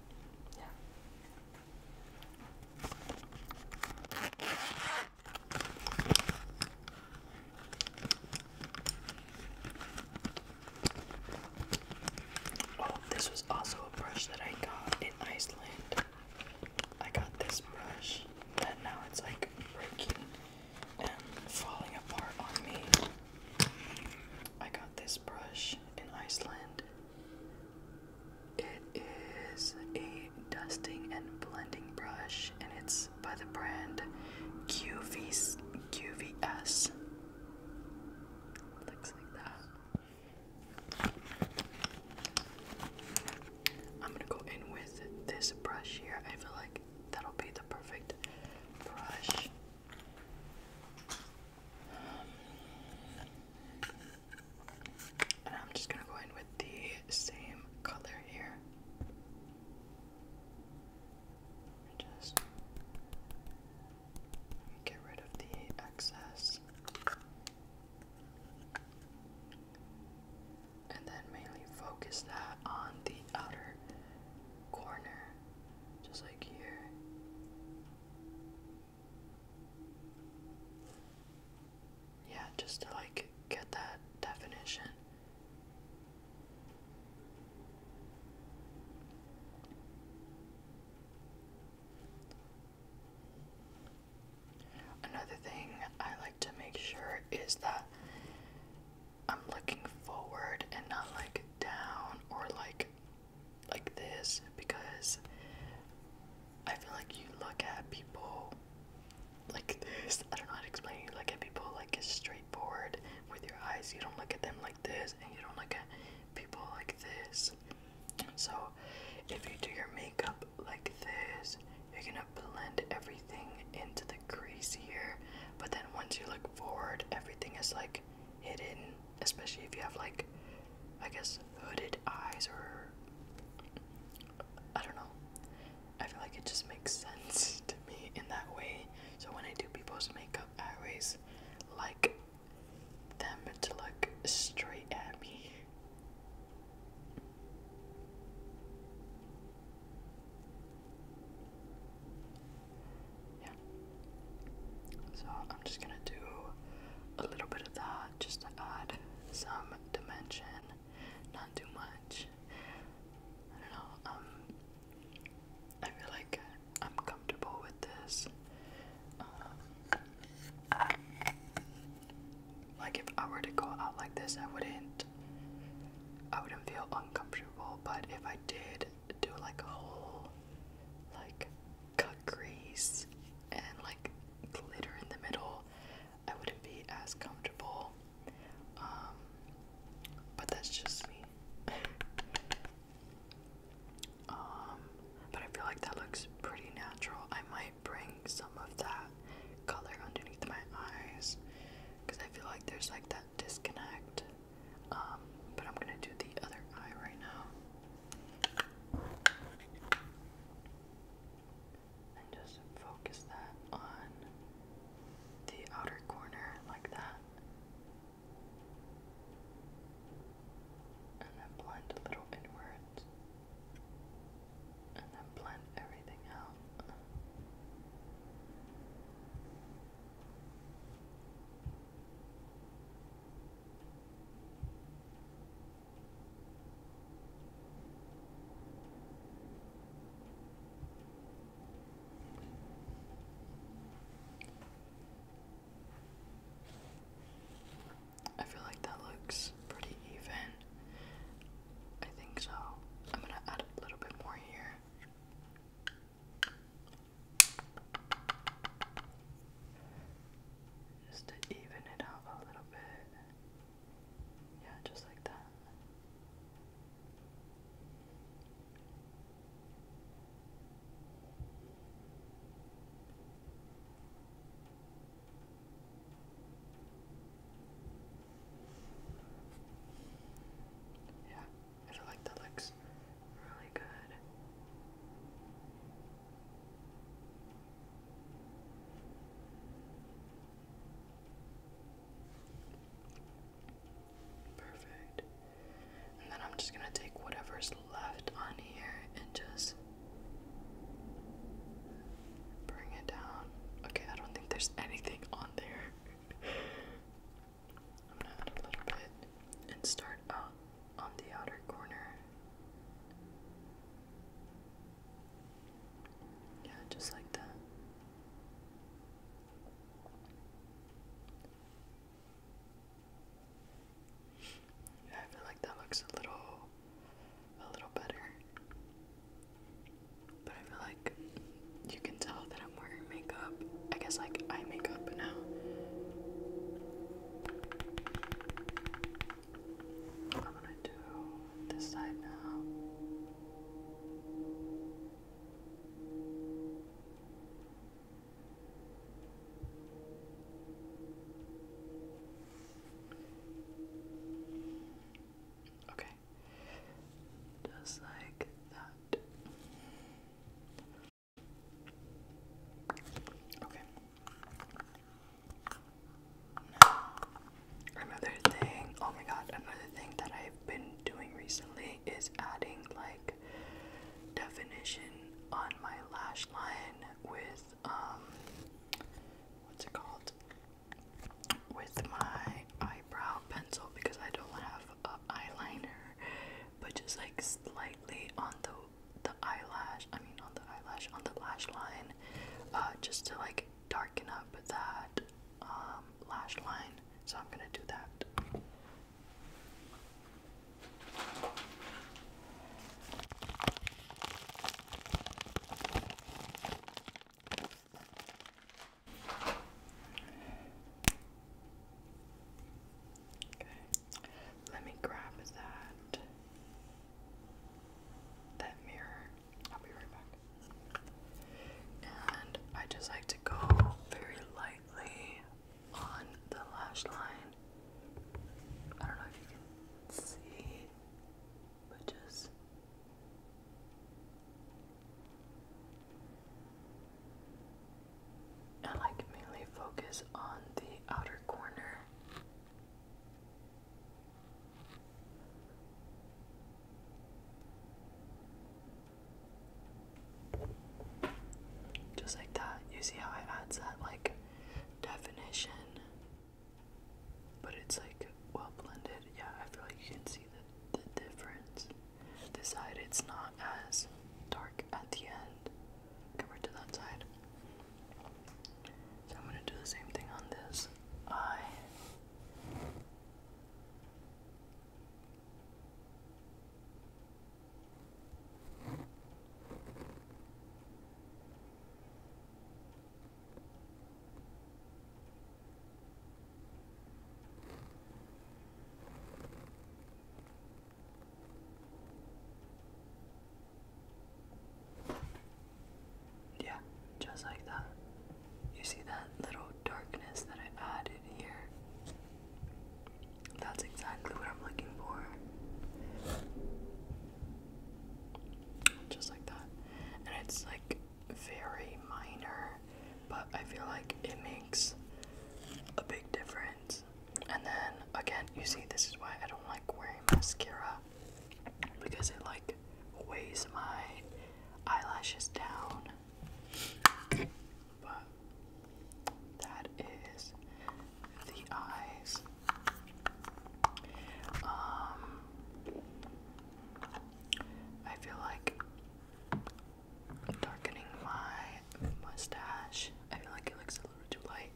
yeah. Oh, this was also a brush that I got in Iceland. I got this brush that now it's like breaking and falling apart on me. I got this brush in Iceland. It is a dusting and blending brush, and it's by the brand QVC, QVS. Looks like that. I'm gonna go in with this brush here. I feel like that'll be the perfect brush. and I'm just gonna go in with the same color here. Just get rid of the excess. And then mainly focus that on the outer corner, just like here yeah, just to like get that definition. Another thing I like to make sure is that I'm looking forward and not like down or like like this because I feel like you look at people like this. I don't know how to explain. You look at people like it's straightforward with your eyes. You don't look at them like this, and you don't look at people like this. So, if you do your makeup like this, you're gonna blend everything into the crease here. But then once you look forward, everything is like hidden. Especially if you have like, I guess, hooded eyes or I don't know. I feel like it just makes sense to me in that way. So when I do people's makeup, I always like them to look straight at me. Yeah. So I'm just gonna do a little bit of that just to add some dimension not too much. I don't know. Um, I feel like I'm comfortable with this. Um, like if I were to go out like this, I wouldn't. I wouldn't feel uncomfortable. But if I did do like a whole, like cut crease and like glitter in the middle, I wouldn't be as comfortable. Um, but that's just me. Um, but I feel like that looks pretty natural. I might bring some of that color underneath my eyes because I feel like there's like that disconnect. Um, but I'm gonna do the other eye right now and just focus that on the outer corner like that. And then blend a little inwards. And then blend everything out. I feel like that looks pretty even. I think so. I'm gonna add a little bit more here. Just to even it out a little bit. Yeah, just like that. Yeah, I feel like that looks really good. Perfect. And then I'm just gonna take whatever's left on here and just bring it down. Okay, I don't think there's anything on there. I'm gonna add a little bit and start out on the outer corner. Yeah, just like that. Yeah, I feel like that looks a little a little better. But I feel like you can tell that I'm wearing makeup. I guess like eye makeup now. I'm gonna do this side now. Okay. Just like that. Okay. Now Another thing, oh my god, another thing that I've been doing recently is adding like definition on my lash line with um what's it called? With my eyebrow pencil because I don't have a eyeliner, but just like slightly on the the eyelash, I mean on the eyelash, on the lash line, uh, just to like darken up that um, lash line, so I'm gonna do that. Okay, let me grab that that mirror I'll be right back. And I just like to go very lightly on the lash line. I don't know if you can see, but just. I like mainly focus on the outer corner. Just like that. You see how it adds that like definition? But it's like well blended. Yeah, I feel like you can see the, the difference. This side, it's not as dark at the end compared to that side. So I'm gonna do the same thing on this eye. Yeah, just like that. You see that little darkness that I added here? That's exactly what I'm looking for. Just like that. And it's like very minor, but I feel like it makes a big difference. And then again, you see, this is why I don't like wearing mascara because it like weighs my eyelashes down. But that is the eyes. Um, I feel like darkening my mustache. I feel like it looks a little too light,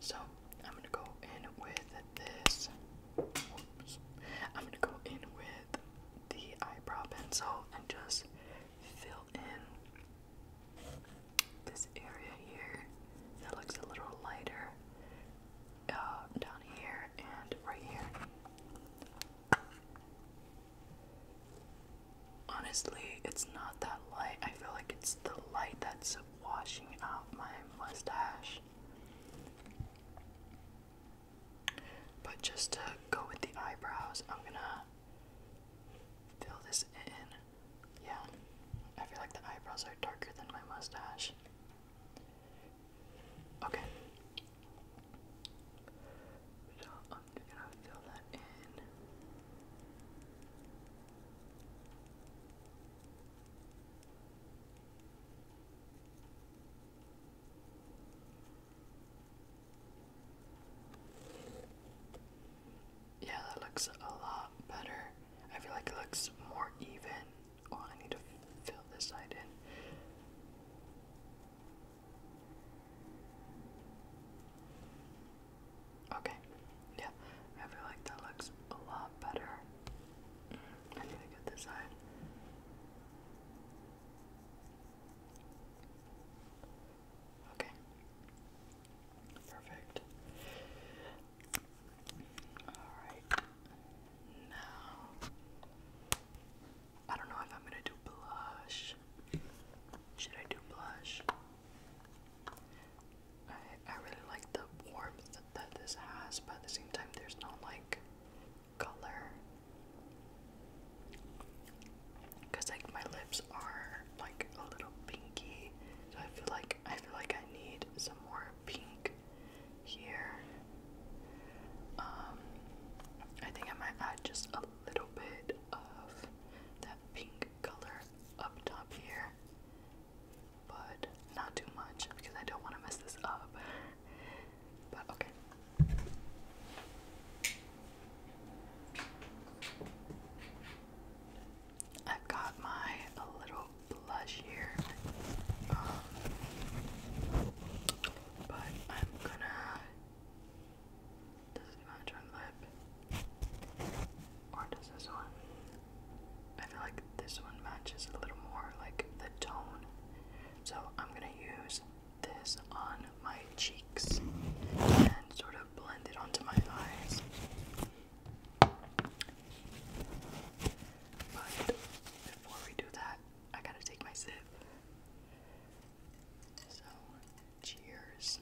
so I'm gonna go in with this. I'm gonna go in with the eyebrow pencil and just fill in this area here that looks a little lighter uh, down here and right here. Honestly, it's not that light. I feel like it's the light that's washing out my mustache. But just to go with the eyebrows, I'm gonna fill this in. Yeah, I feel like the eyebrows are darker than my mustache. Okay. So I'm gonna fill that in. Yeah, that looks a lot better. I feel like it looks more even. Oh, I need to fill this side in. Okay, yeah, I feel like that looks a lot better. Mm, I need to get this side. Okay. Perfect. Alright. Now I don't know if I'm gonna do blush. Should I do blush? I I really like the warmth that, that this has, but at the same time there's no like color. Cause like my lips are like a little pinky, so I feel like I feel like I need some more pink here. Um, I think I might add just a little bit of that pink color up top here, but not too much because I don't want to mess this up okay. I've got my a little blush here. Um, but I'm gonna. Does it match our lip? Or does this one? I feel like this one matches a little more like the tone. So I'm gonna use this on my cheeks and sort of blend it onto my eyes. But before we do that, I gotta take my sip. So, cheers.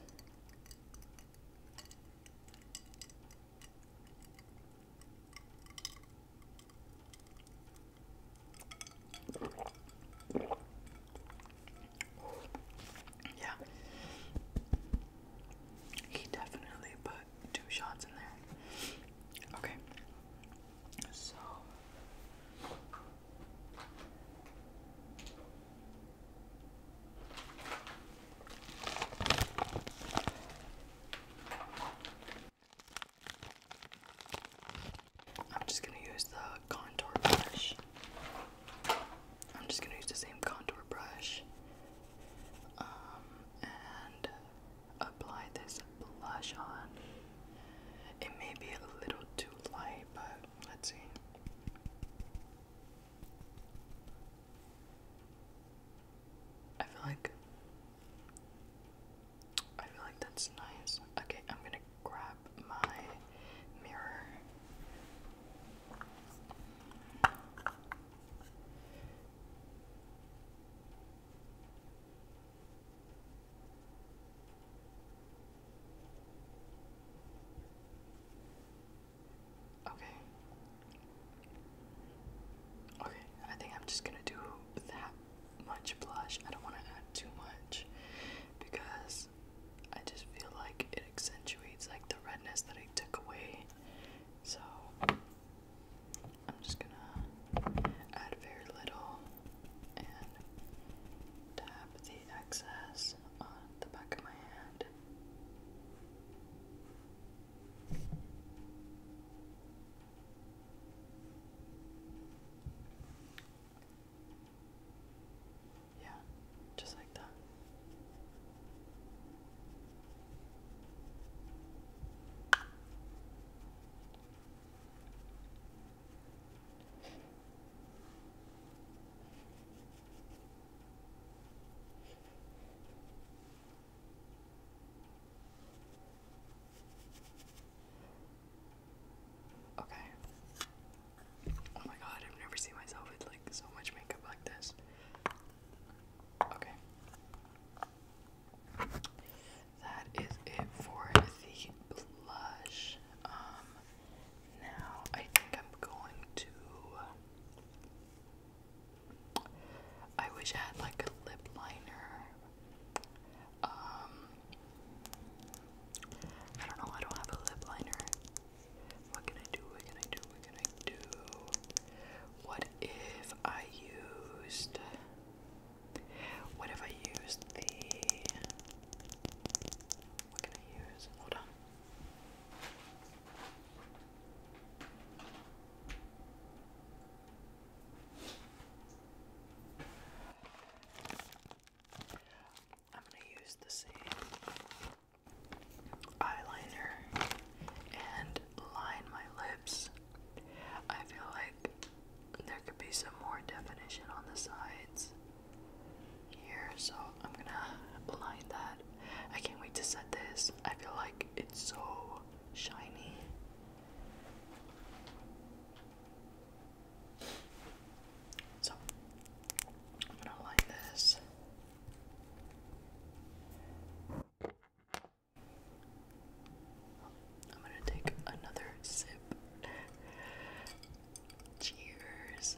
Yeah. He definitely put two shots in there. Okay. So I'm just going to use the contour brush. I'm just going to use the same contour brush um, and apply this blush on. It may be a little too light, but let's see. I feel like I feel like that's nice. Okay, I'm gonna grab my mirror. Okay. Okay, I think I'm just gonna do that much blush. I don't want to add too much because I just feel like it accentuates like the redness that I took away. So I'm just gonna add very little and tap the excess on the back of my hand. Yeah, just like that. Okay. Oh my god, I've never seen myself with like so much makeup like this. Okay. That is it for the blush. Um, now I think I'm going to I wish I had like a lip liner. Um, I don't know. I don't have a lip liner. What can I do? What can I do? What can I do? What if I used? What if I used the? What can I use? Hold on. I'm gonna use the same eyeliner and line my lips. I feel like there could be some more definition on the sides here, so I'm gonna line that. I can't wait to set this. I feel like it's so shiny. So I'm gonna align this. I'm gonna take another sip. Cheers.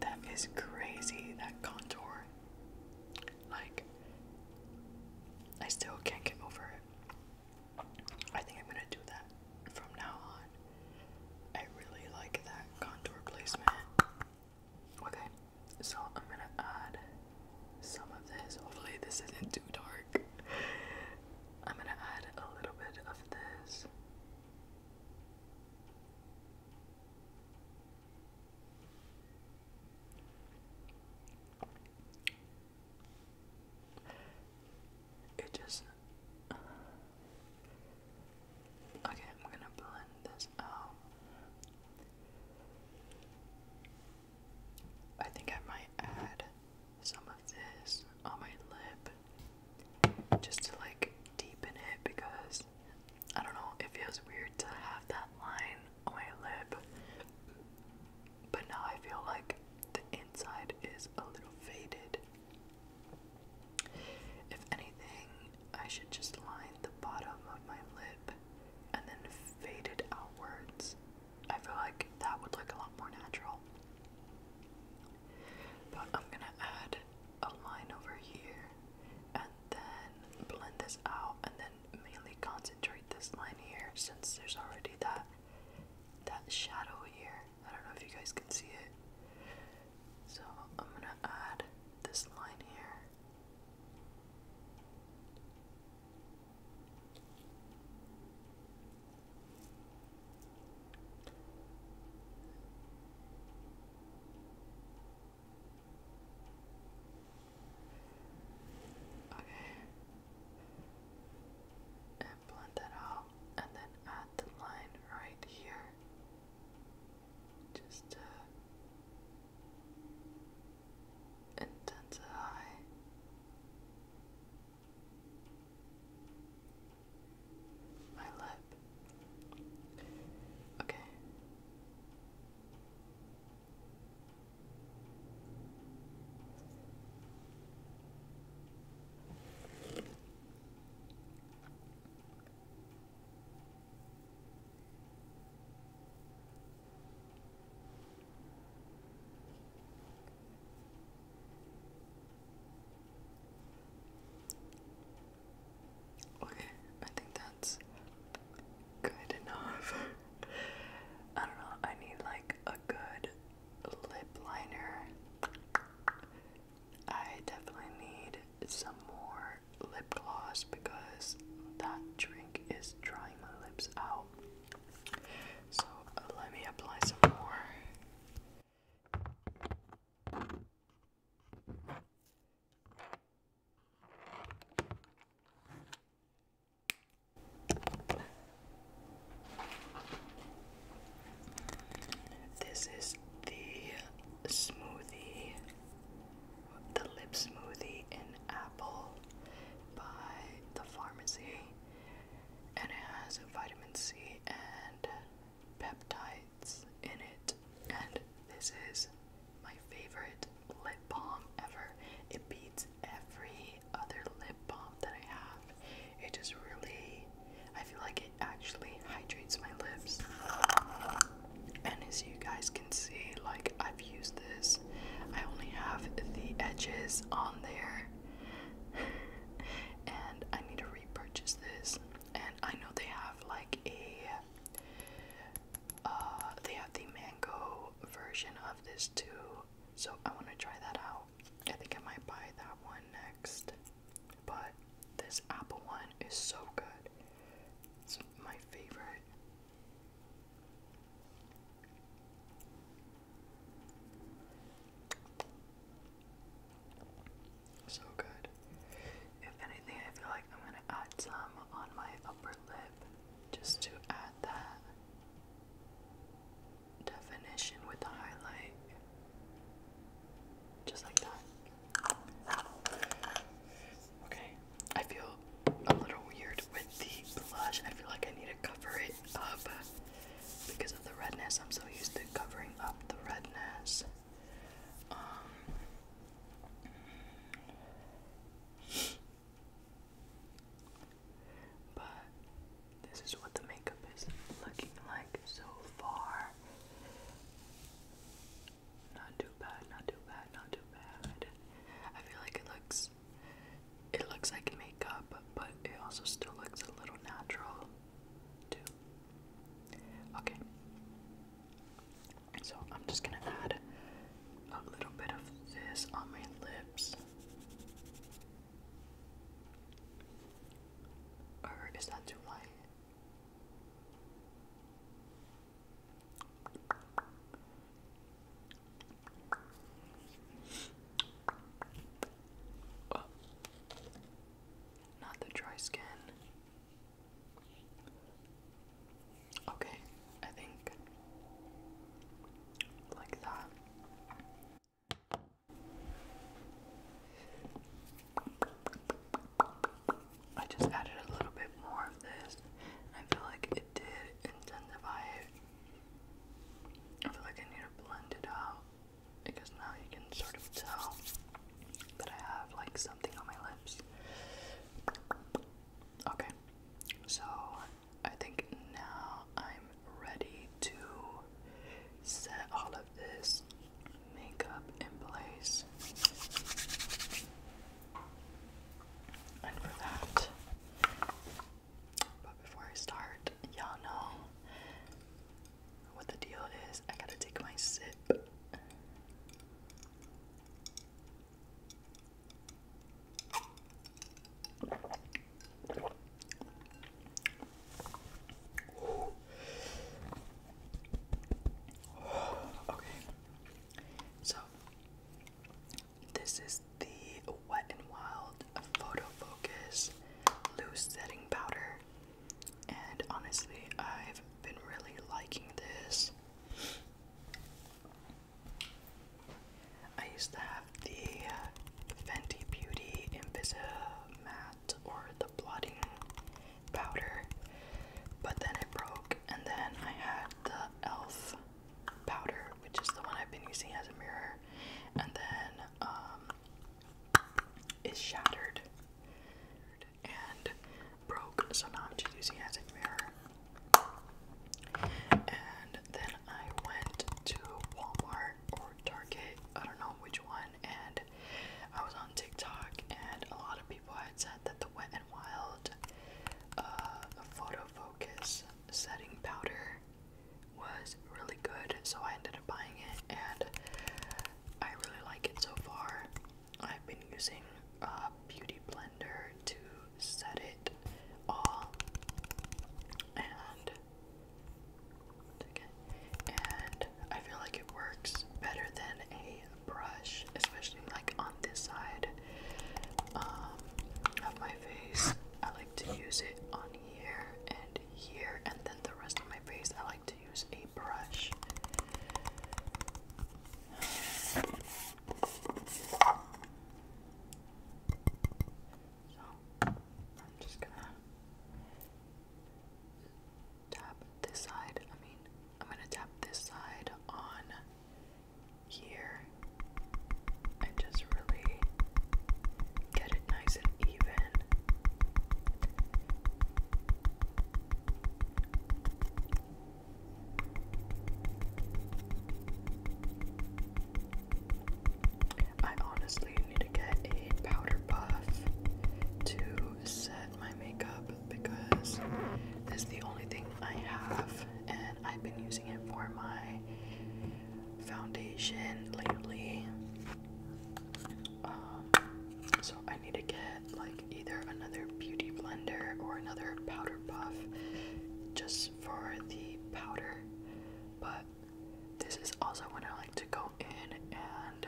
That is crazy, that contour. Like, I still can't get over it. I think I'm gonna do that from now on. I really like that contour placement. Okay, so I'm gonna add some of this. Hopefully, this isn't too dark. I'm gonna add a little bit of this. It just. okay, I'm gonna blend this out. I think I might add some of this on my lip just to like deepen it because I don't know, it feels weird to have that line my lip. But now I feel like the inside is a little faded. If anything, I should just line the bottom of my lip and then fade it outwards. I feel like that would look a lot more natural. But I'm gonna add a line over here and then blend this out and then mainly concentrate this line here since there's already that that shadow here. I don't know if you guys can see it. So I'm gonna add this line here. Okay. And blend that out and then add the line right here. Just to intensify. My lip. Okay. Okay, I think that that's good enough. I don't know, I need like a good lip liner. I definitely need some more lip gloss because that drink is drying my lips out. So let me apply some more. This is the smoothie, the lip smoothie in apple by the pharmacy, and it has vitamin C and peptides in it. And this is my favorite lip balm ever. It beats every other lip balm that I have. It just really, I feel like it actually hydrates my lips. And as you guys can see, like I've used this, I only have the edges on there. and I need to repurchase this. And I know they have like a uh, they have the mango version of this too, so I want to try that out. I think I might buy that one next. But this apple one is so good. It's my favorite. So good. If anything, I feel like I'm gonna add some on my upper lip just to add that definition with the highlight. Just like that. Okay, I feel a little weird with the blush. I feel like I need to cover it up because of the redness. I'm so used to covering up the redness. Um, but this is what the makeup is looking like so far. Not too bad, not too bad, not too bad. I feel like it looks it looks like makeup, but it also still looks a little natural too. Okay. So I'm just gonna add a little bit of this on my lips. Or is that too light? Not the dry skin. Okay, I think like that. I just added a little bit more of this. I feel like it did intensify it. I feel like I need to blend it out because now you can sort of tell that I have like something on my lips. Okay, so I think now I'm ready to set all of this makeup in place. And for that, but before I start, y'all know what the deal is. I gotta take my sip. Okay. So this is the Wet and Wild Photo Focus Loose Setting Powder. And honestly, I've been really liking this. I used to have the uh, Fenty Beauty Invisible Matte or the blotting powder, but then it broke, and then I had the e.l.f. powder, which is the one I've been using as a mirror, and then um, it shattered and broke, so now I'm just using it as a mirror. And then I went to Walmart or Target, I don't know which one, and I was on TikTok, and a lot of people had said that the Wet and Wild uh, Photo Focus setting powder was really good, so I ended up buying it, and I really like it so far. I've been using a uh, beauty blender to said it all. And and I feel like it works better than a brush, especially like on this side um, of my face. I like to use it on here and here, and then the rest of my face I like to use a brush. So I'm just gonna tap this side. I mean, I'm gonna tap this side on here and just really get it nice and even. I honestly need to get a powder puff to set my makeup because this is the only thing I have, and I've been using it for my foundation lately. Um, so I need to get like either another beauty blender or another powder puff just for the powder, but this is also when I like to go in and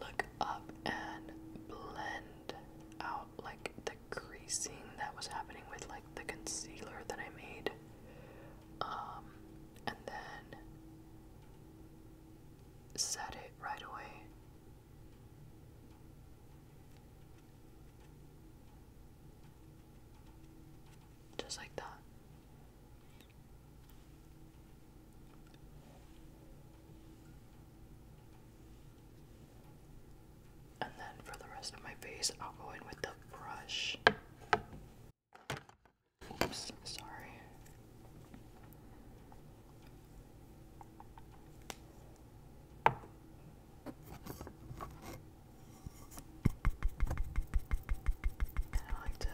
look up and blend out like the creasing that was happening with like the concealer that I made. Um, and then set it right away. Just like that. And then for the rest of my face, I'll go in with the brush. Oops, sorry. I like to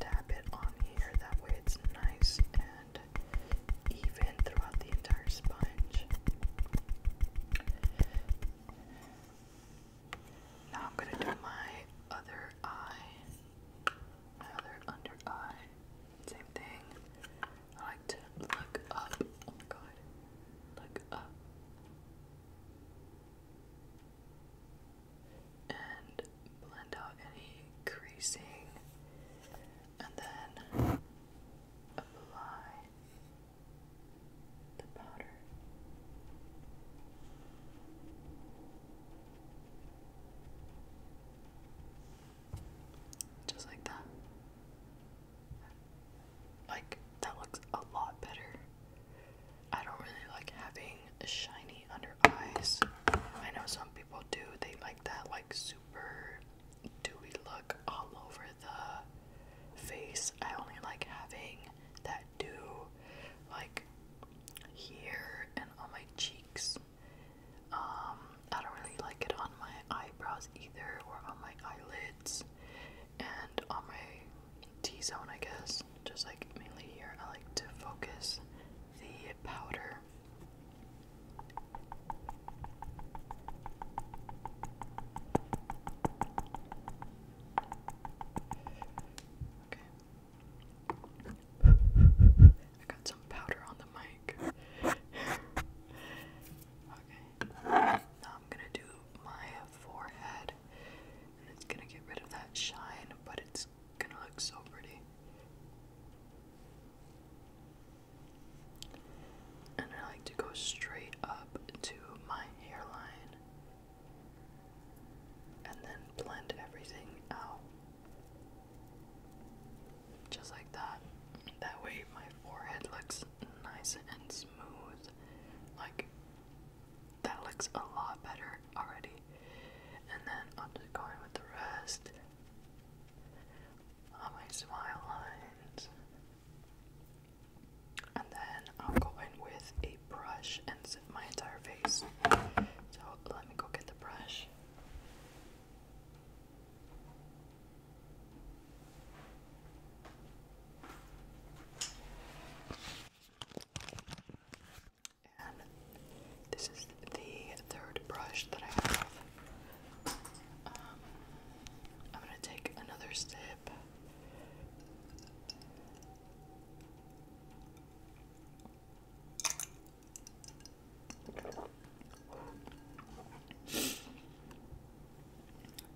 tap it on here, that way it's nice and even throughout the entire sponge. Now I'm going to do my other eye, my other under eye. Same thing. I like to look up. Oh my god. Look up and blend out any creasing and then apply the powder. Just like that. Like, that looks a lot better. I don't really like having shiny under eyes. I know some people do, they like that, like, super dewy look all over the face. I only like having that dew, like, here and on my cheeks. Um, I don't really like it on my eyebrows either or on my eyelids and on my T zone, I guess, just like mainly here, I like to focus the powder. Okay. I got some powder on the mic. okay. Now I'm gonna do my forehead and it's gonna get rid of that shine, but it's gonna look so pretty. And I like to go straight up to my hairline and then blend everything out. Just like that. That way my forehead looks nice and smooth. Like, that looks a lot better already. And then I'm just going with the rest on my smile lines. And then I'll go in with a brush and zip my entire face. So let me go get the brush this is the third brush that I have. Um, I'm going to take another sip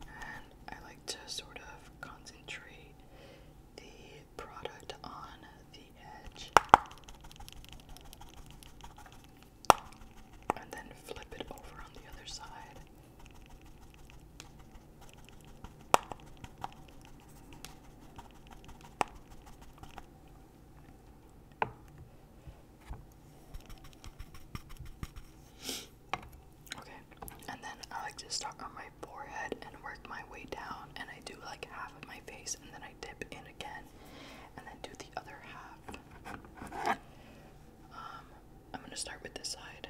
and I like to sort of concentrate the product on the edge and then flip it over on the other side. Okay, and then I like to start on my forehead and work my way down, and I do like half of my face, and then I dip in again, and then do the other half. Um, I'm gonna start with this side.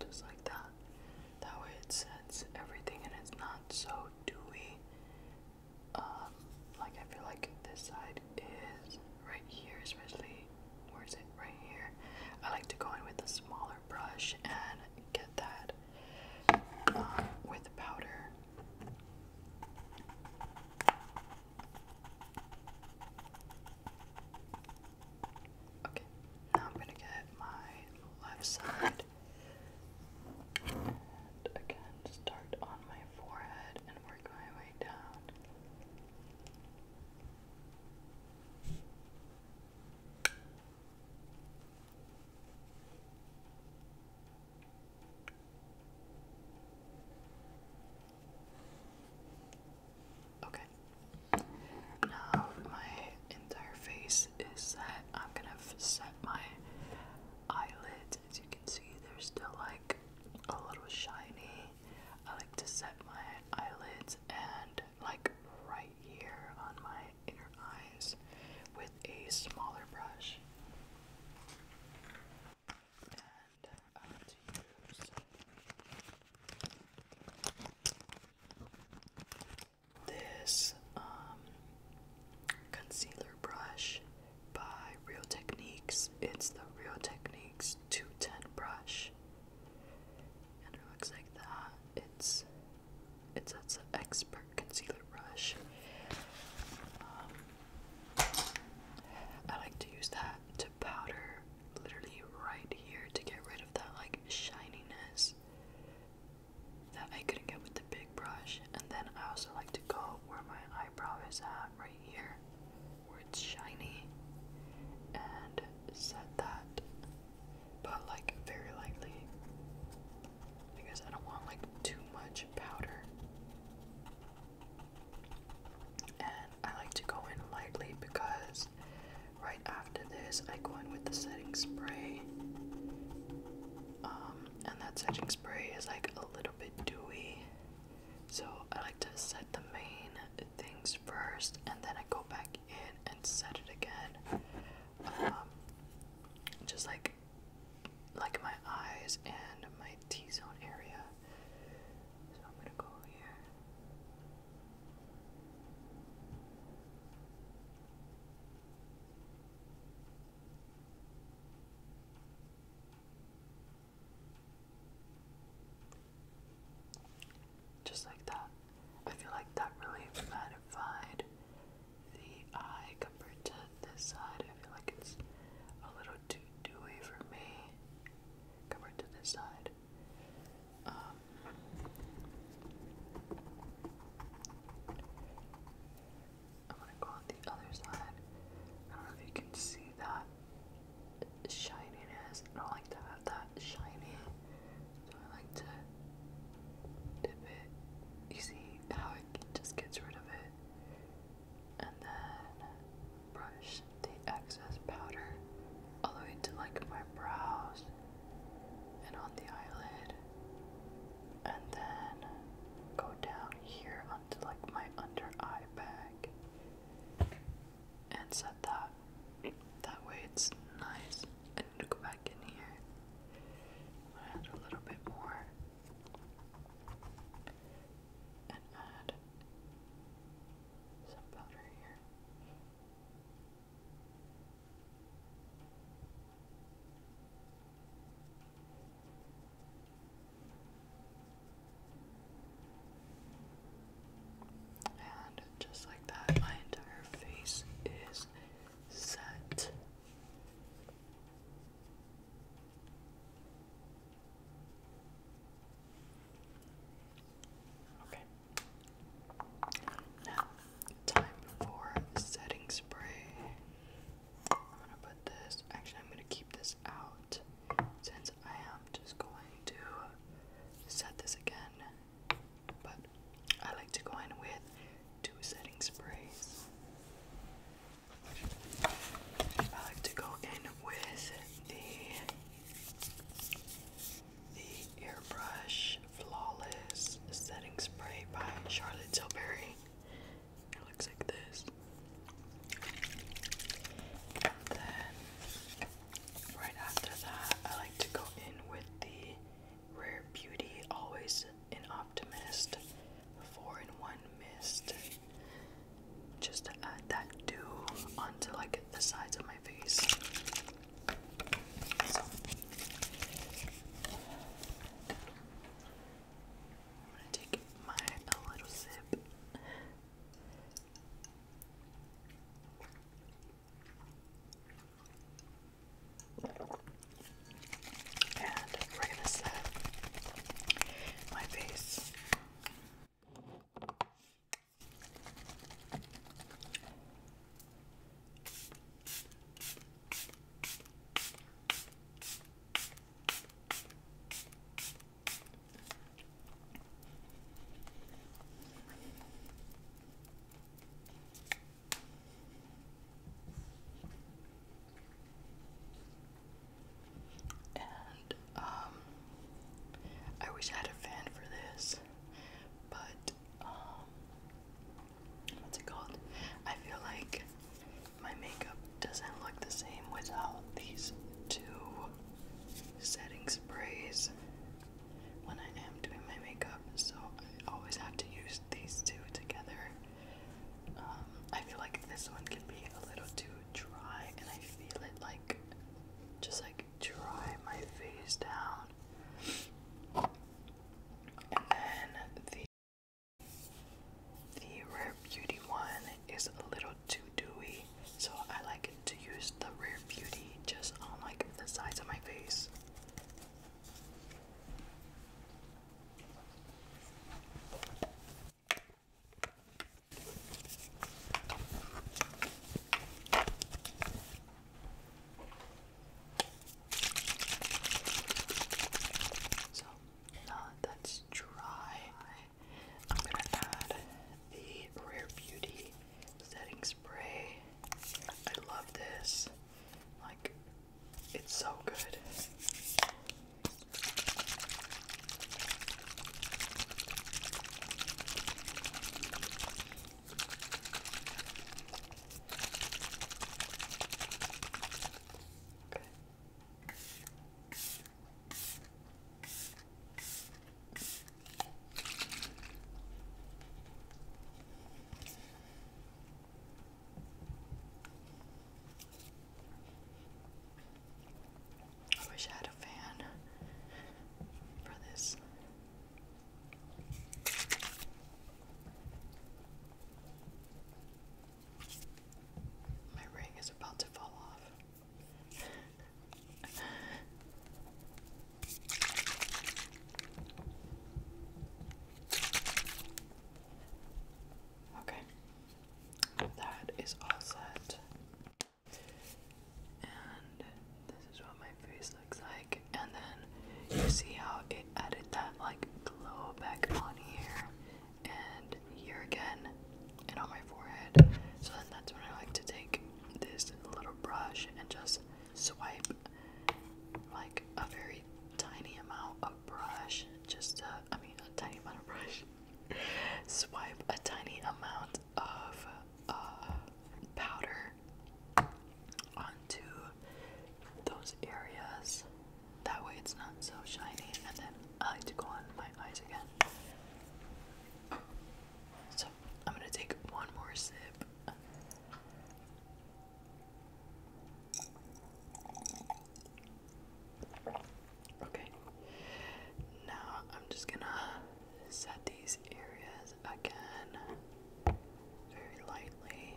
Just like that. That way it sets everything and it's not so dewy. Um, like I feel like this side is right here, especially where is it? Right here. I like to go in with a smaller brush and get that uh, with powder. Okay, now I'm going to get my left side and again start on my forehead and work my way down. Okay. Now my entire face is set. I'm gonna set my eyelids. As you can see, they're still like a little shiny. I like to set my eyelids and like right here on my inner eyes with a smaller brush this um, concealer brush by Real Techniques. It's the Real Techniques 210 brush, and it looks like that. It's it says expert concealer good brush. Um, I like to use that to powder literally right here to get rid of that like shininess that I couldn't get with the big brush. And then I also like to go where my eyebrow is at right here where it's shiny and set that but like very lightly because I don't want like too much powder. And I like to go in lightly because right after this I go in with the setting spray. Um, and that setting spray is like a little bit dewy. So I like to set the main things first and then I go back in and set it again. Um, just like like my eyes and my T-zone area. So I'm gonna go here. Just like that. I feel like that really magnified the eye compared to this side. I feel like it's a little too dewy for me compared to this side. I'm um, gonna go on the other side. I don't know if you can see that shininess. I don't like to have that shiny, so I like to dip it. You see how it just gets rid of it and then brush the excess powder all the way to like my brows and on the eyelid, and then go down here onto like my under eye bag and set that. That way it's nice. I need to go back in here. add a little bit more and add some powder here. And just like that, my entire face is set. Okay. Now, time for setting spray. I'm gonna put this, actually, I'm gonna keep this out since I am just going to set this again. But I like to go in with two setting sprays. I like to go in with the the airbrush flawless setting spray by Charlotte Tilbury. It looks like this. And then right after that I like to go in with the Rare Beauty Always an optimist, four in one mist. Just add that dew onto like the sides of my face. I'm gonna take my little sip. And we're gonna set my face. Okay. Um, I wish had a fan for this, but um, what's it called? I feel like my makeup doesn't look the same without these two setting sprays when I am doing my makeup, so I always have to use these two together um, I feel like this one can be a little too dry, and I feel it like just like dry my face down. And then the the Rare Beauty one is a little too dewy, so I like to use the Rare Beauty just on like the sides of my face. So now that's dry, I'm gonna add the Rare Beauty setting spray. I love this. Like it's so good. Okay. I wish I had a fan for this. My ring is about to fall off. okay that is all set. And this is what my face looks like. And then you see how it added that like glow back on here and here again and on my forehead. So then that's when I like to take this little brush and just swipe like a very tiny amount of brush, just a, I mean, a tiny amount of brush, swipe a tiny amount of uh, powder onto those areas. That way it's not so shiny. And then I like to go on my eyes again. So I'm going to take one more sip. Okay. Now I'm just gonna set these areas again very lightly.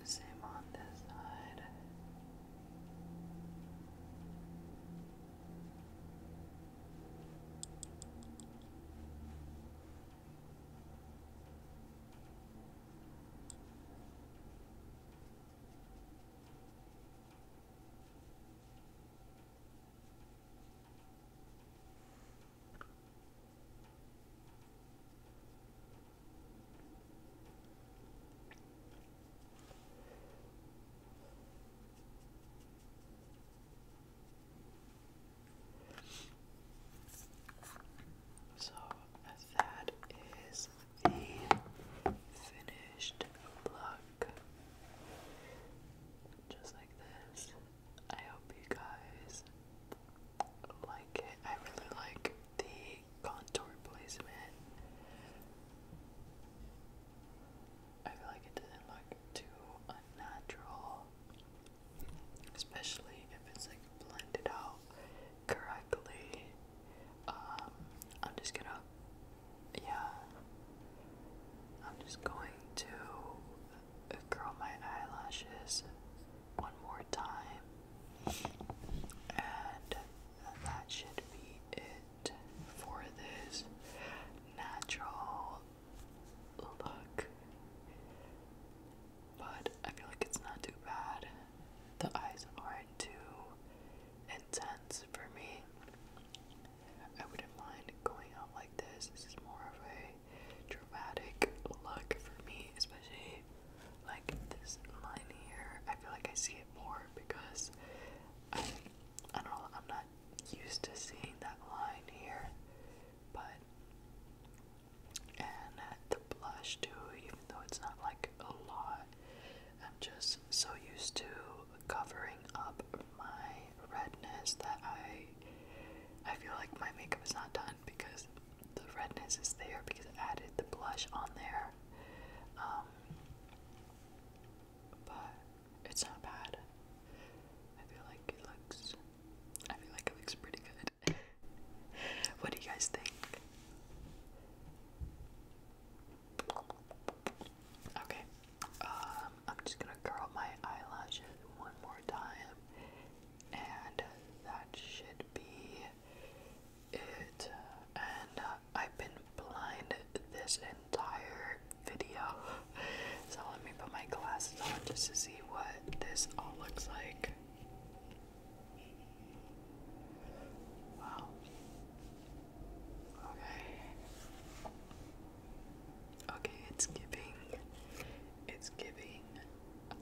And same on this side. So that is the finished look just like this. I hope you guys like it. I really like the contour placement. I feel like it doesn't look too unnatural, especially if it's like blended out correctly. Um, I'm just gonna yeah, I'm just going to curl my eyelashes one more time, and that should be it for this natural look. But I feel like it's not too bad. The eyes aren't too intense for me. I wouldn't mind going out like this. This is more of a dramatic look for me, especially like this line here. I feel like I see it more because I, I don't know, I'm not used to seeing that line here, but and the blush too, even though it's not like a lot. I'm just so used to covering up my redness that I I feel like my makeup is not done because the redness is there because I added the blush on there. Um, but it's not bad. I feel like it looks I feel like it looks pretty good. what do you guys think? Okay, um, I'm just gonna curl my eyelashes one more time, and that should be it. And uh, I've been blind this entire video, so let me put my glasses on just to see what this all looks like. Wow. Okay. Okay, it's giving. It's giving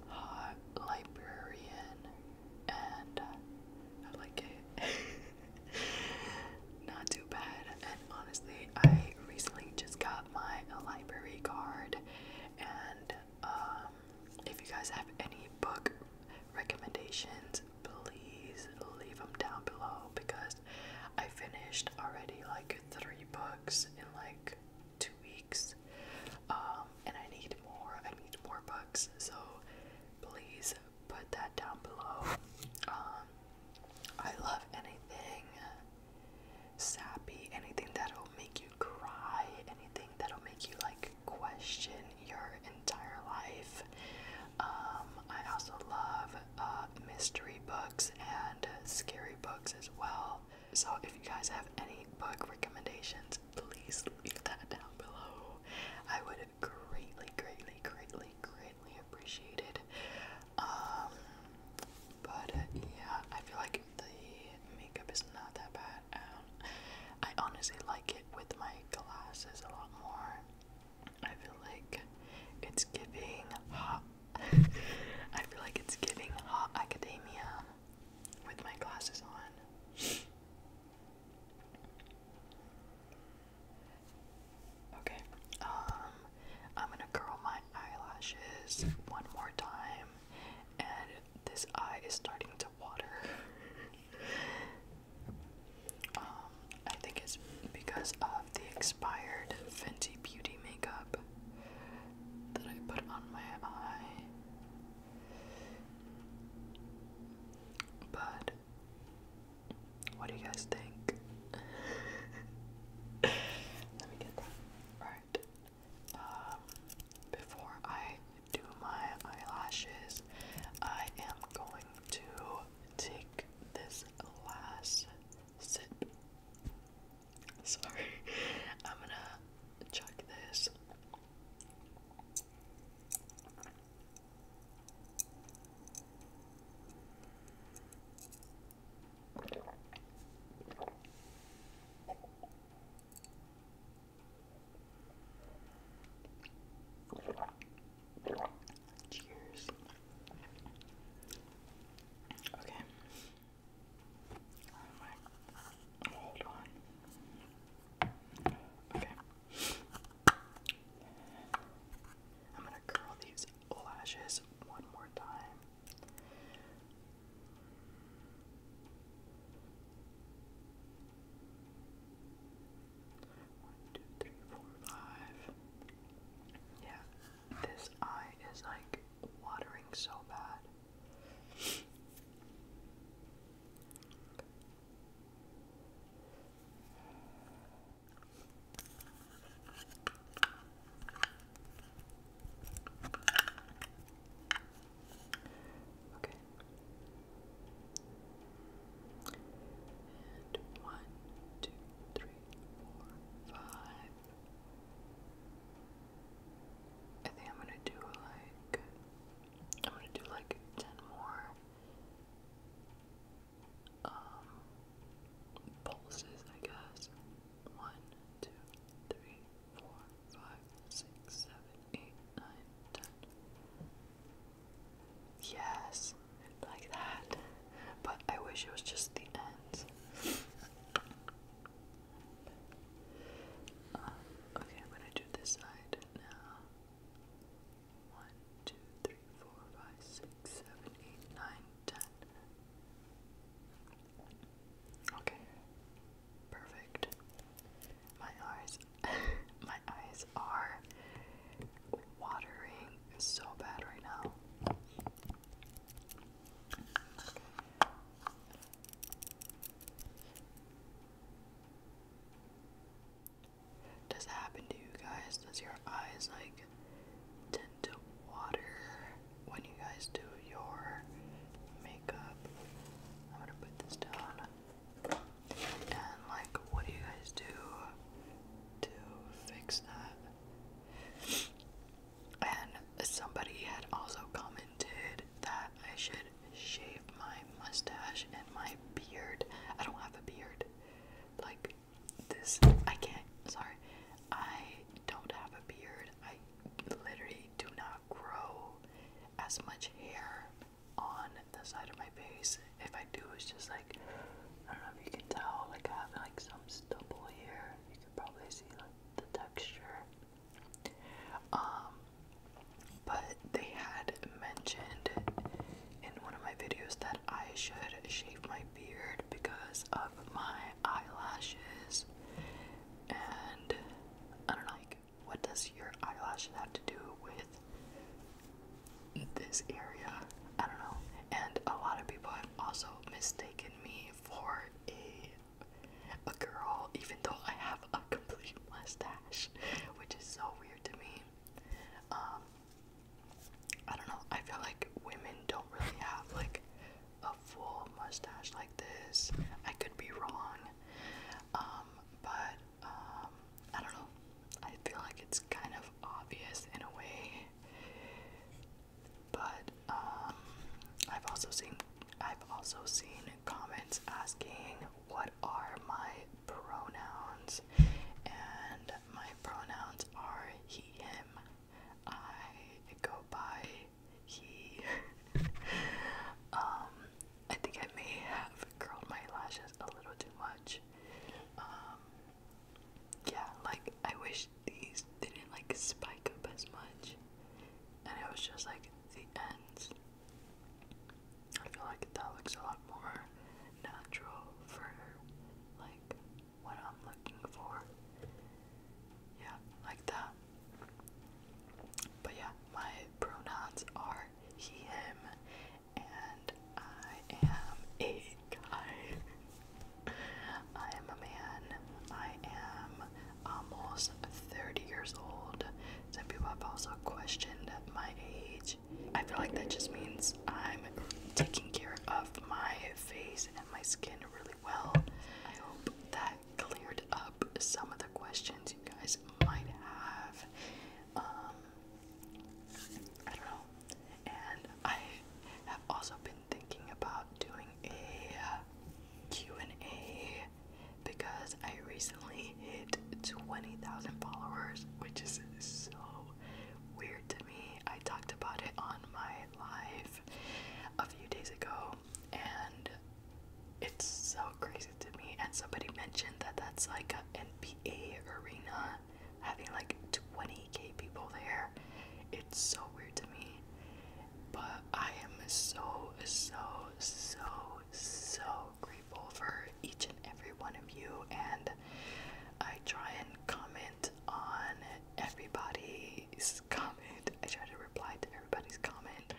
hot librarian, and uh, I like it. Not too bad. And honestly, I recently just got my library card, and um, if you guys have any book recommendations, please leave them down below because I finished already like three books in like two weeks. Um, and I need more. I need more books. So please put that down below. Um, I love anything sappy, anything that'll make you cry, anything that'll make you like question your entire life. Um, I also love uh, mystery books and scary books as well. So if you guys have any book recommendations, please leave that down below. I would greatly, greatly, greatly, greatly appreciate it. Um, but yeah, I feel like the makeup is not that bad. I honestly like it with my glasses a lot more. I feel like it's giving hot. I feel like it's giving hot academia with my glasses on. Okay, um, I'm gonna curl my eyelashes one more time, and this eye is starting to water. Um, I think it's because of the expired Fenty Beauty makeup that I put on my eye. But what do you guys think? Let me get that. Alright. Um, before I do my eyelashes, I am going to take this last sip. Sorry, I'm gonna chuck this. Cheers. Okay. Oh my. Hold on. Okay. I'm gonna curl these lashes one more time. One, two, three, four, five. Yeah, this eye is like watering so bad. Okay. one, two, three, four, five. I think I'm gonna do like I'm gonna do like ten more um pulses, I guess. One, two, three, four, five, six, seven, eight, nine, ten. Yes like that. But I wish it was just the ends. Um, okay, I'm gonna do this side now. One, two, three, four, five, six, seven, eight, nine, ten. Okay, perfect. My eyes, my eyes are watering is so bad right now. Does that happen to you guys? Does your eyes like tend to water when you guys do your makeup? I'm gonna put this down. And like, what do you guys do to fix that? And somebody had also commented that I should shave my mustache and my beard. I don't have a beard. Like this, I can't. Sorry, I don't have a beard. I literally do not grow as much hair on the side of my face. If I do, it's just like I don't know if you can tell, like I have like some stubble here. You can probably see like the texture. Um, but they had mentioned in one of my videos that I should shave my beard because of my eyelashes. And I don't know, like, what does your eyelashes have to do with this area? I don't know. And a lot of people also mistaken me for a a girl, even though I have a complete mustache, which is so weird to me. Um, I don't know. I feel like women don't really have like a full mustache like this. I could be wrong, um, but um, I don't know. I feel like it's kind of obvious in a way. But um, I've also seen I've also seen comments asking what are my pronouns, and my pronouns are he him. I go by he. Um, I think I may have curled my lashes a little too much. Um, yeah, like I wish these didn't like spike up as much, and it was just like the ends. I feel like that looks a lot more natural for like what I'm looking for. Yeah, like that. But yeah, my pronouns are he, him, and I am a guy. I am a man. I am almost 30 years old. Some people have also questioned my age. I feel like that just means I'm taking care of my face and my skin really well. I hope that cleared up some of the questions you guys might have. Um, I don't know. And I have also been thinking about doing a uh, Q&A because I recently hit 20,000 followers, which is so weird to me. I talked about it on my live a few days ago and it's so crazy to me and somebody mentioned that that's like an NBA arena having like 20k people there. It's so weird to me. But I am so, so, so, so grateful for each and every one of you. And I try and comment on everybody's comment. I try to reply to everybody's comment.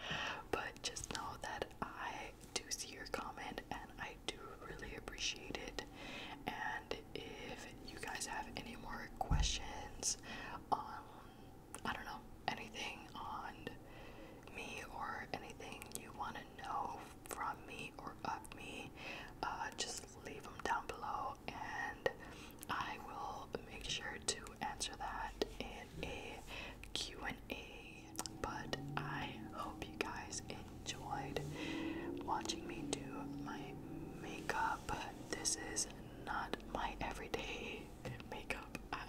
But just know that I do see your comment and I do really appreciate it. And if you guys have any more questions on, I don't know, anything on me or anything you want to know from me or of me, uh, just leave them down below and I will make sure to answer that in a Q&A. But I hope you guys enjoyed watching me do my makeup this is not my everyday makeup. I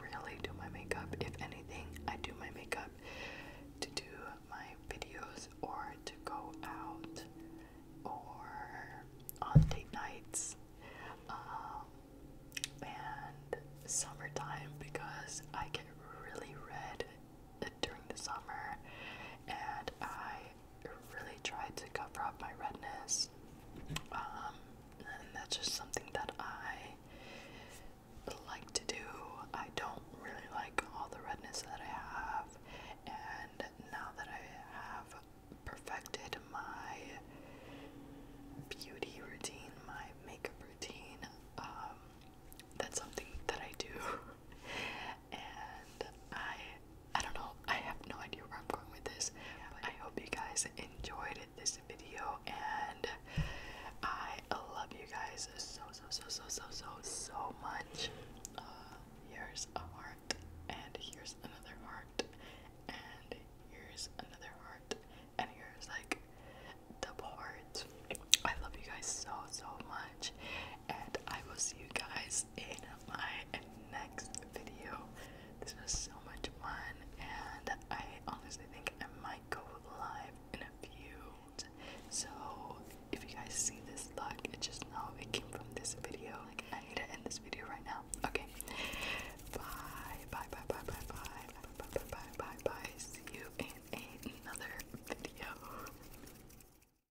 really do my makeup. If anything, I do my makeup to do my videos or to go out or on date nights um, and summertime because I get really red during the summer and I really tried to cover up my redness. Um, and that's just something that I like to do. I don't really like all the redness that I have, and now that I have perfected my beauty routine, my makeup routine, um, that's something that I do. and I I don't know I have no idea where I'm going with this but I hope you guys enjoyed this video and I love you guys so so so so so so so much uh, here's a heart and here's another heart and here's another heart and here's like double hearts I love you guys so so much and I will see you guys is in my next video. This was so much fun, and I honestly think I might go live in a few. So, if you guys see this luck, it just know it came from this video. Like, I need to end this video right now. Okay. Bye, bye, bye, bye, bye, bye, bye, bye, bye, bye, bye. See you in another video.